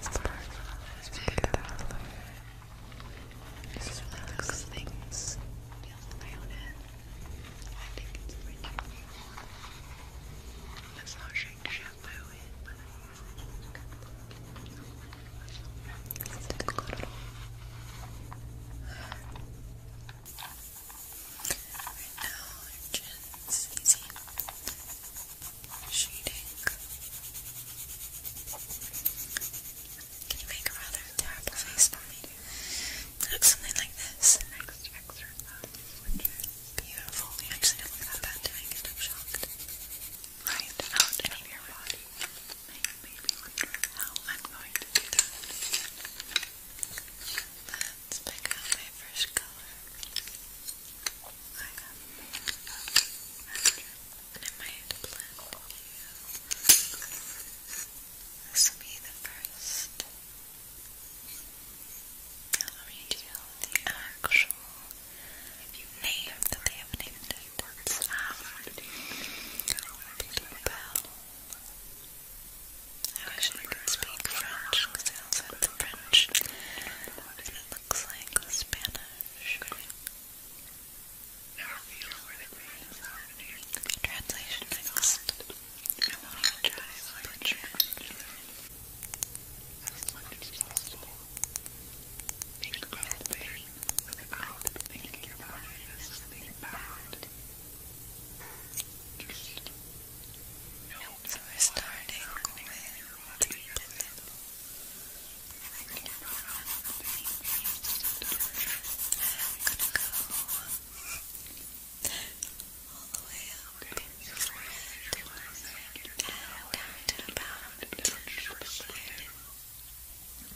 Sparkles beautifully. Just relax things. Feel around it. I think it's pretty cool. That's how shampoo is, but I use it. It's shading. Can you make a rather terrible face for me? looks something like this. beautiful. You actually look that bad doing it, I'm Right out of your body. It made me how I'm going to do that. Let's pick out my first color. I have a and I might plan to this be the first I'll read you the actual name that they have named it it's I wish I could speak French because I also have the French it looks like Spanish Translation next. I won't even try butcher as much as possible. Think about a thing without thinking about it as something bad. Just no. So we're starting with the gonna go all the way up okay. your forehead down to the bottom of the side.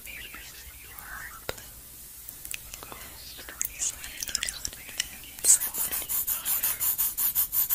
Maybe you are blue. Slide a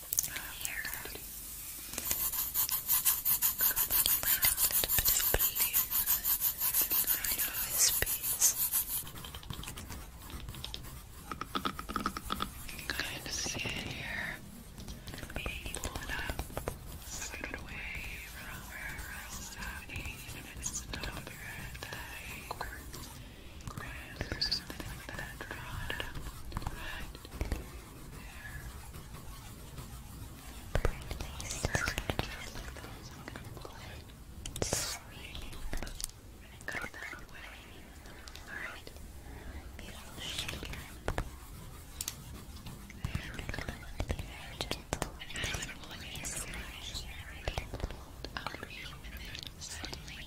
hair. Kind of see it here. Maybe pull it put it away from wherever else it's happening, even if it's the top of your head, the head, or something like that. Draw Go that way. Alright. Beautiful shape here. There we go. And as I'm pulling it, it's going to be very gentle. Up, and then suddenly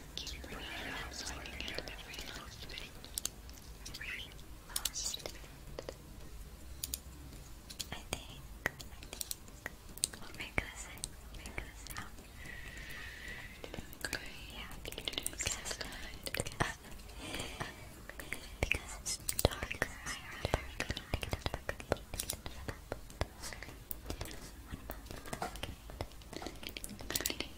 Keep bringing it up so I can get every last bit. Every last bit. I think, I think, I'll make us in, make us out. Doing great. Yeah, you do it last night. Because, uh, uh, because it's darker, I heard darker. Pick it up, pick it up, pick it up. One moment, okay. Pretty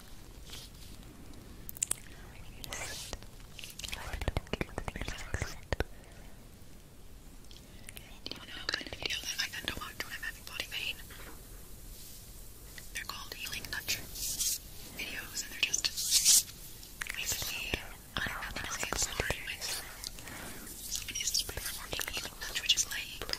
You know what kind of that I tend to watch when I'm having body pain? They're called healing touch videos, and they're just basically, I don't know how to say it, somebody is, somebody performing healing touch, which is laying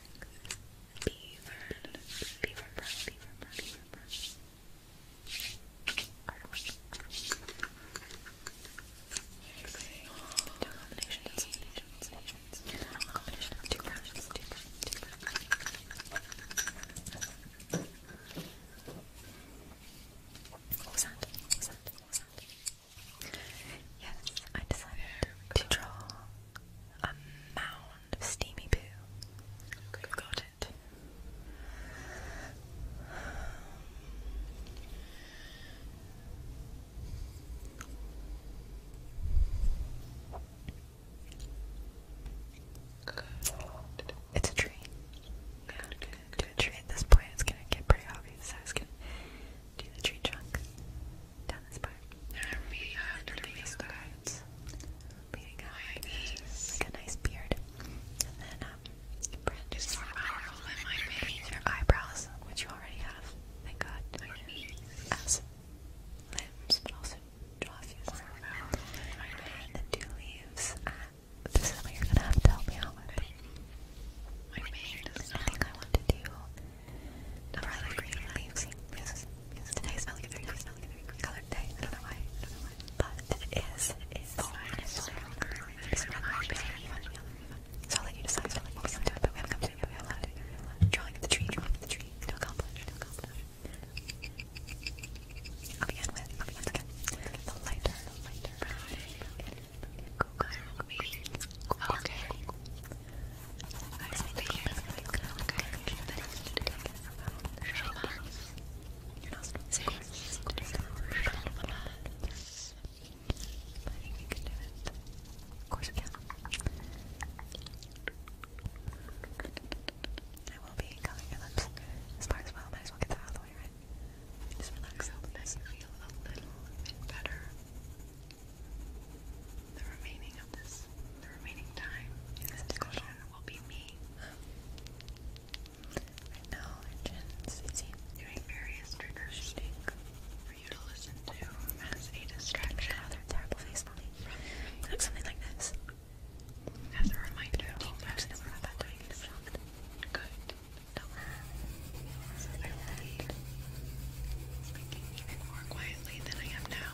Beaver, Beaver brush, Beaver brush, Beaver brush. Okay. Two combinations, combinations, combinations. Yes, I decided to draw a mound of steamy poo. got it. It's a tree. Good, Do a tree at this point. It's gonna get pretty obvious. do the tree trunk down this part. Leading up like, a nice beard. And then, um, branches Your eyebrows, which you already have, thank god. My limbs, but also jaw fuses. And then two leaves. Uh, this is what you're gonna have to me out with. My I think I want to do not Today is a very green colored day. I don't I don't know why. But it is. so I'll let you decide. So I'll let you decide. But we haven't come it yet. We haven't come it yet. Drawing the tree, drawing the tree. To accomplish, to accomplish. I'll I'll begin with The lighter, the lighter. Okay. I think that's you can do it. Of course we can. I will be covering your lips as as well. Might as well get that out way, right? Just relax. Hope that feel a little better the remaining of this, the remaining time in this discussion will be me. Right now, Jen's busy doing various trigger for you to listen to as a distraction. Oh, terrible face on me. something like this. As a reminder, team reps never have that doing it. Good. So I will be even more quietly than I am now.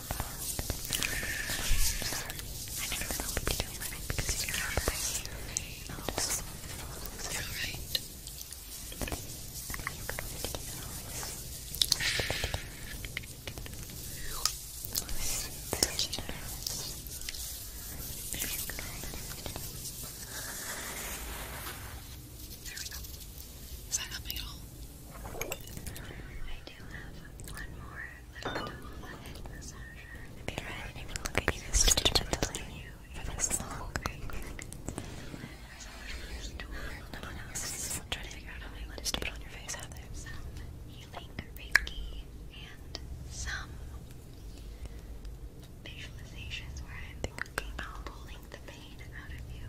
never know what you're doing because you're not right. No, just, you're right. There we go. Is that helping at I do have one more I'm trying to figure out how many letters to put on your face, have Some healing reiki and some visualizations where I'm thinking about pulling the pain out of you.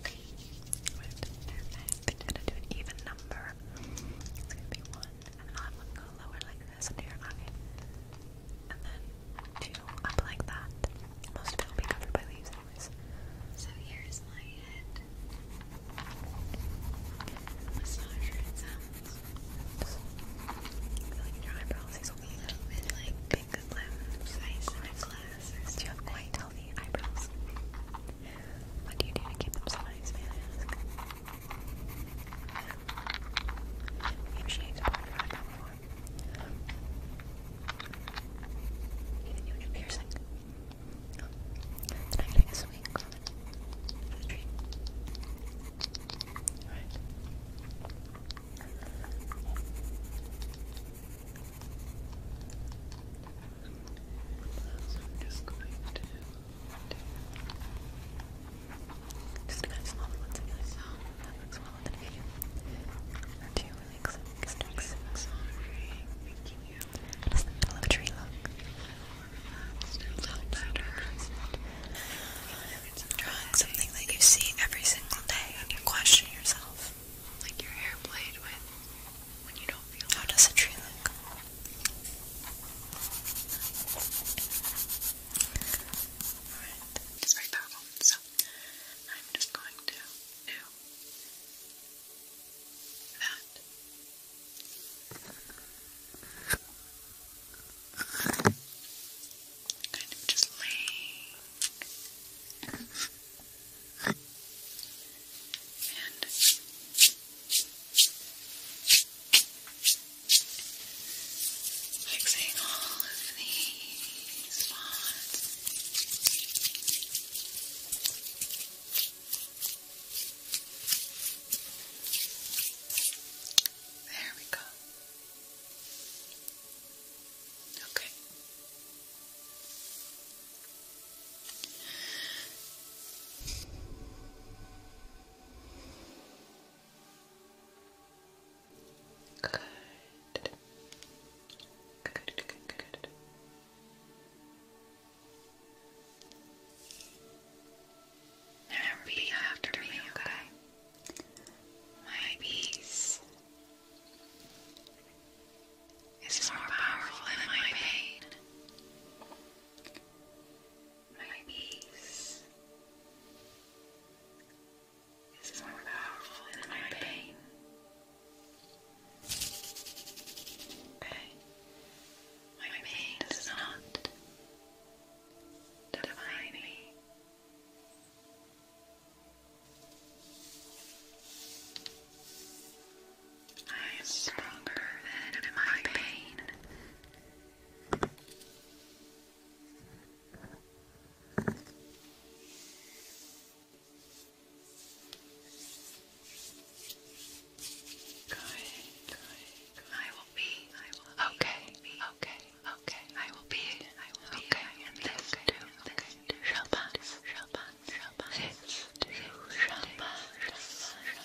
Okay. Perfect. i gonna do an even number. It's gonna be one, and I'll have one go lower like this into your eye. And then two up like that. Most of it will be covered by leaves anyways. So here's my head. Massager it sounds. Feeling in your eyebrows, these will be like big limbs, eyes and Do you have quite healthy eyebrows? What do you do to keep them so nice, I ask? Handshakes, apart from that before. Even you and your piercing. Oh. I'm getting a so just going to just ones in this song. That well in a few. two, I think so. Because it tree look? It looks better. something that you see every single day and you question yourself. Like your hair played with. How does a tree look? Alright, it's very powerful. So, I'm just going to do that. Kind of just laying. And fixing all of these spots. There we go. Okay. Good. Good, good, good, good. Now after me, okay? My peace is more powerful than my pain my peace. This is more powerful than my pain. Okay. My pain does not define me. I am stronger than my pain. Good, good, I will be. I will okay, okay, okay. I will be. Okay, and this too. shall pass. Shall pass. shall pass.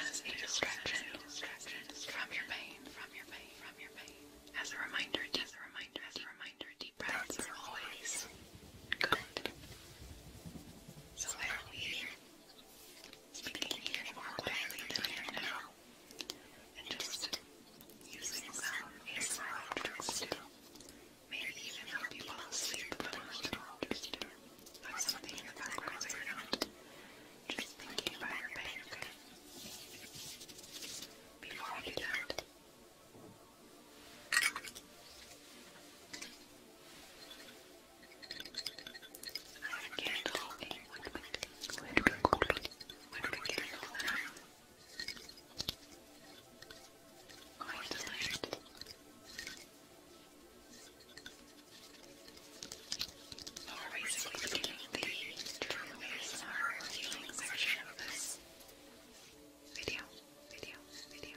as a distraction from your pain, As a reminder, as a reminder, as a reminder, deep breaths are always good. So I will be speaking even more quietly than I and just using some ASMR tricks to maybe even help people sleep, but I'm not of something Just thinking about your pain, okay? Before we do that, I have a candle, a wood wick, wood candle that I'm more recently being the true ASMR healing section of this video, video, video.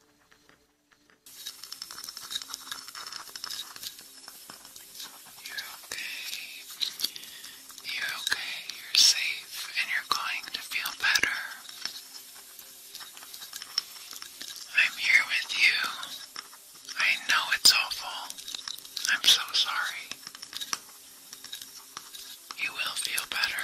You're okay. You're okay. You're safe and you're going to feel better. I'm here with you. I know it's awful. I'm so sorry. You will feel better.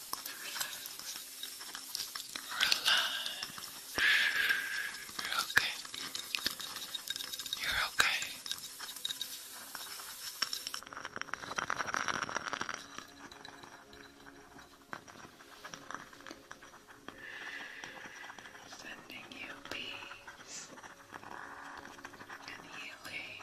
Relax. You're okay. You're okay. Sending you peace and healing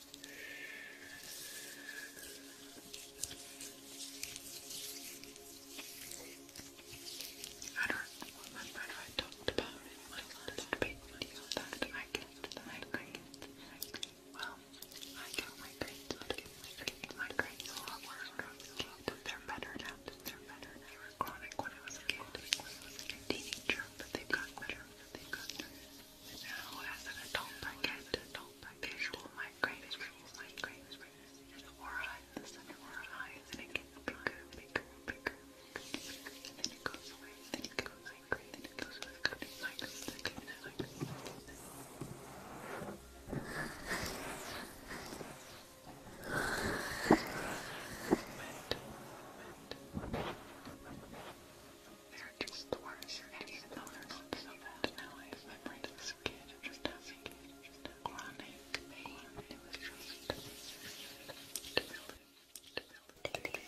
I don't remember I talked about it in my last big video that I get migraines. I get migraines, I get migraines. Migraines a lot worse when I was They're better now. They're better. They were chronic I was a kid. but they've better. They've better now as an adult, I get visual migraines, migraines, aura in the center of our eyes, and it gets bigger, bigger, bigger, and then it goes away, then it goes migraine, then it goes away, then it migraines, then it migraines, they're just worse. And even though they're not so bad now, I have memory to this kid just having chronic pain. It was just debilitating. debilitating. Okay.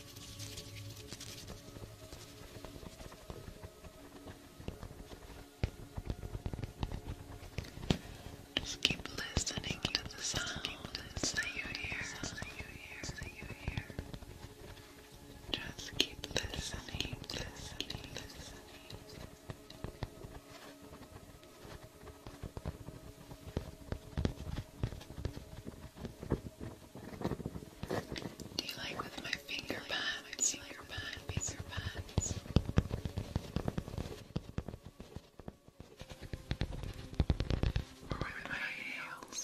Just keep listening to the sounds that you hear. Just keep listening, listening, listening. Do you like with my finger pads? Like finger pads, finger pads. Or with my nails?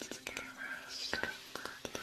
Just get a nice good look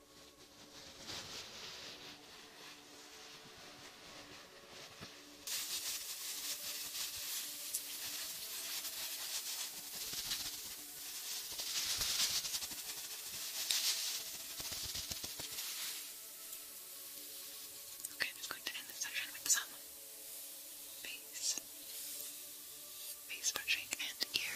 Okay, I'm just going to end this section with some face, face brushing, and ear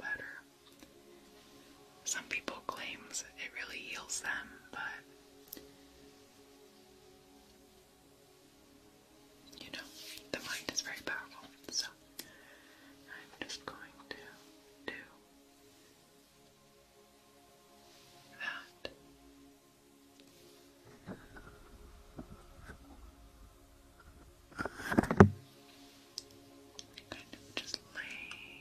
Better. Some people claims it really heals them, but you know, the mind is very powerful. So I'm just going to do that. Kind of just laying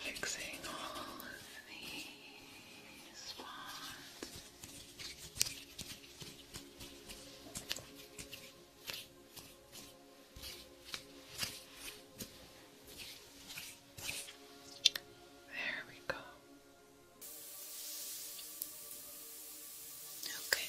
Fixing all these spots. There we go. Okay.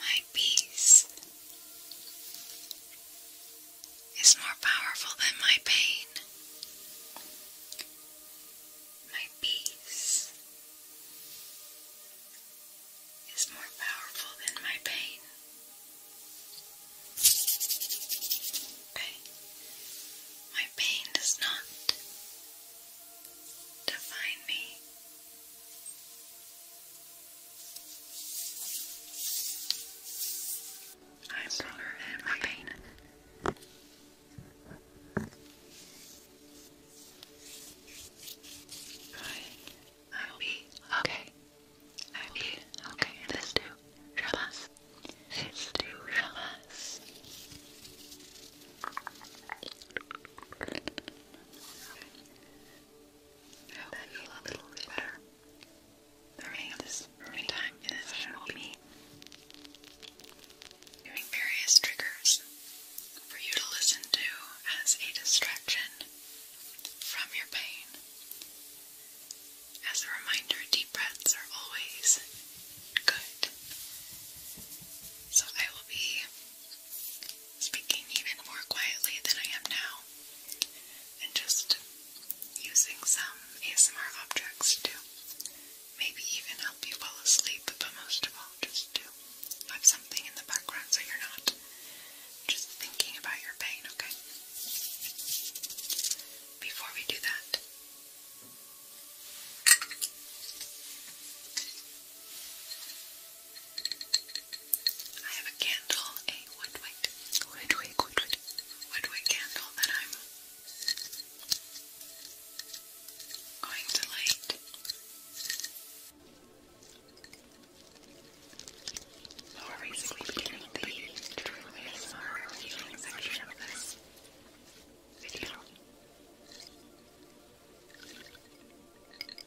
My peace is more powerful than my pain. My peace is more powerful than my pain. My pain does not define me. I'm stronger in my pain. I'll be okay. I'll be okay. This too shall pass. This too shall pass. I you feel a little bit better. The rain this early in the session will be doing various triggers for you to listen to as a distraction from your pain. As a reminder, deep breaths are always good. So I will be speaking even more quietly than I am now, and just using some ASMR objects to maybe even help you fall asleep, but most of all, just to have something in the background so you're not just thinking about your pain, okay? Before we do that, I have a candle, a wood wick, wood wick, wood wick, wood wick candle that I'm going to light. So we're basically beginning the true ASMR reviewing section of this video.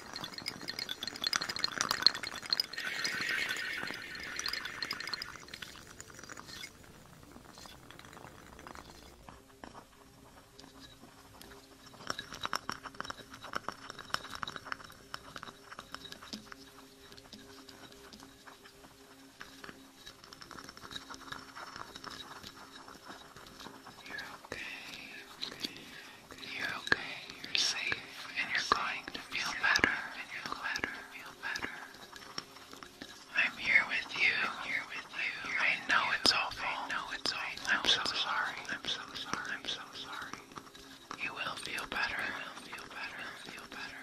You're okay, okay. You're okay, you're safe, and you're going to feel better, and better, feel better. I'm here with you, I'm here with you. I know it's awful, I know it's awful. I'm so sorry, I'm so sorry, I'm so sorry. You will feel better, you will feel better, feel better.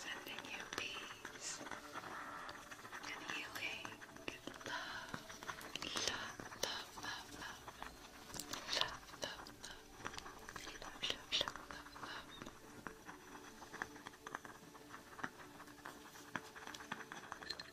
Sending you peace and healing, love, love, love, love, love, love, love, love, love, love, love, love, love.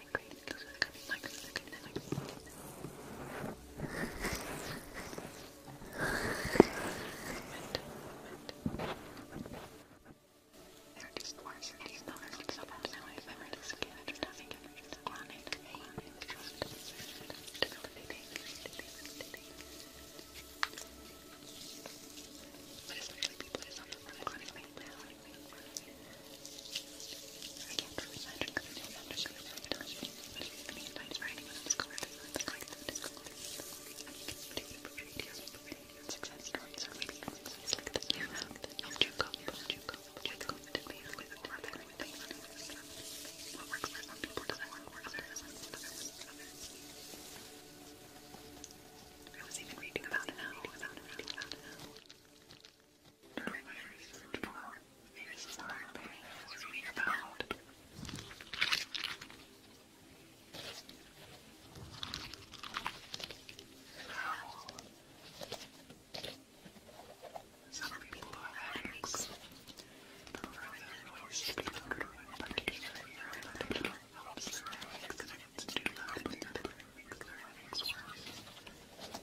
like green, it looks like a like they're just worse. These numbers look so bad now. I've ever just given it to me, given it to me, but it's really people, it's not the one that's running me, running me, running me. I can't really imagine because I know magic is really dumb. But if you've been invited for anyone else, go ahead and click that Discord. And you can continue to create your own success stories or maybe success like this new round. Help you cope, help you cope, help you cope to be with more than anything on your system. What works for some people doesn't work for others, and what others for others. I was even reading about it now, about it now, about it now. During my research work, this is not was read about. How some people have headaches, but for their relationship to the group, particularly their relationship helps their headaches and it's to do that, but their headaches worse.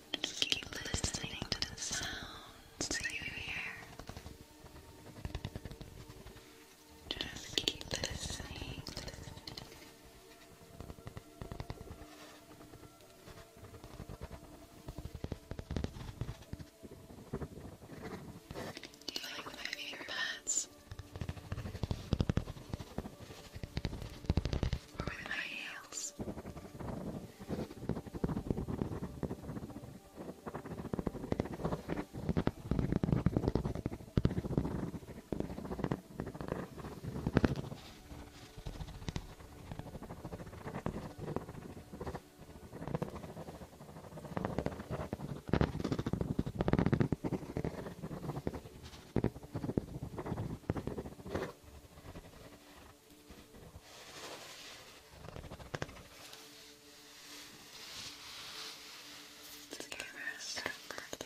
Just keep listening to the sounds you hear. Just keep listening. Do you like my earbuds? or maybe my heels. All just give her a stroke or two. Just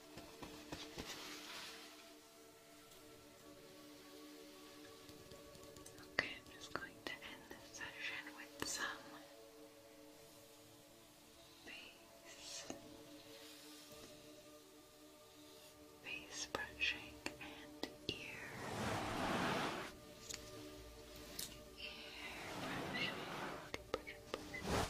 Okay, I'm just going to end this session with some face face brushing and ear ear brushing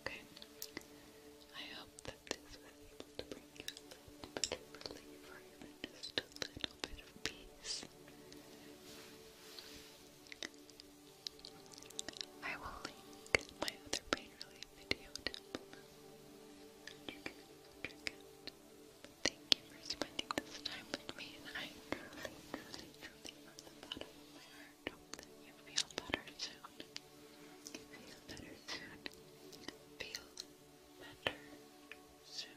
Okay. I hope that this was able to bring you a little bit of relief or even just a little bit of peace. I will link my other pain relief video thank you for spending this time with me, and I truly, truly, truly, hope that you feel better soon. Feel better soon. Feel better soon.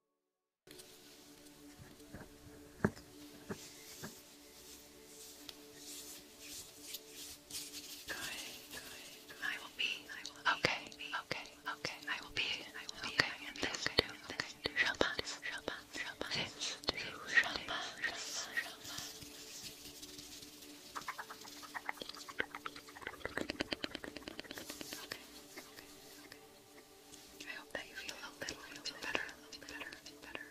I will be, okay, okay, okay. I will be, okay. And this okay. too, this too shall pass, shall pass, shall pass. This too I hope that you feel a little, little better, better, better.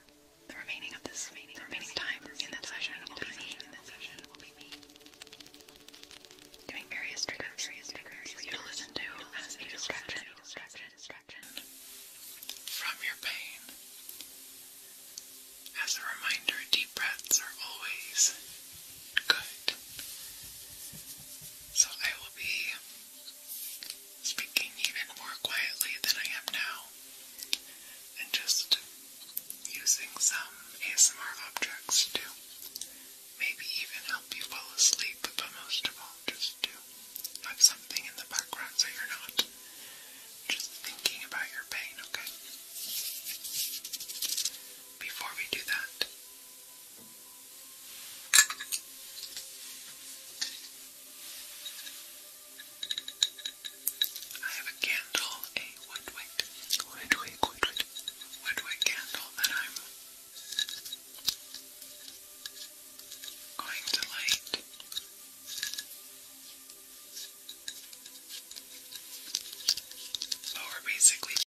The remaining of this, remaining, time in that session will be me. Doing various triggers, for you to listen to as distraction from your pain. As a reminder, deep breaths are always Good. So I will be speaking even more quietly than I am now and just using some ASMR objects to maybe even help you fall asleep, but most of all, just to have something in the background so you're not just thinking about your pain, okay? Before we do that, I have a candle, a woodwick, woodwick, woodwick, woodwick candle that I'm going to light. But we're basically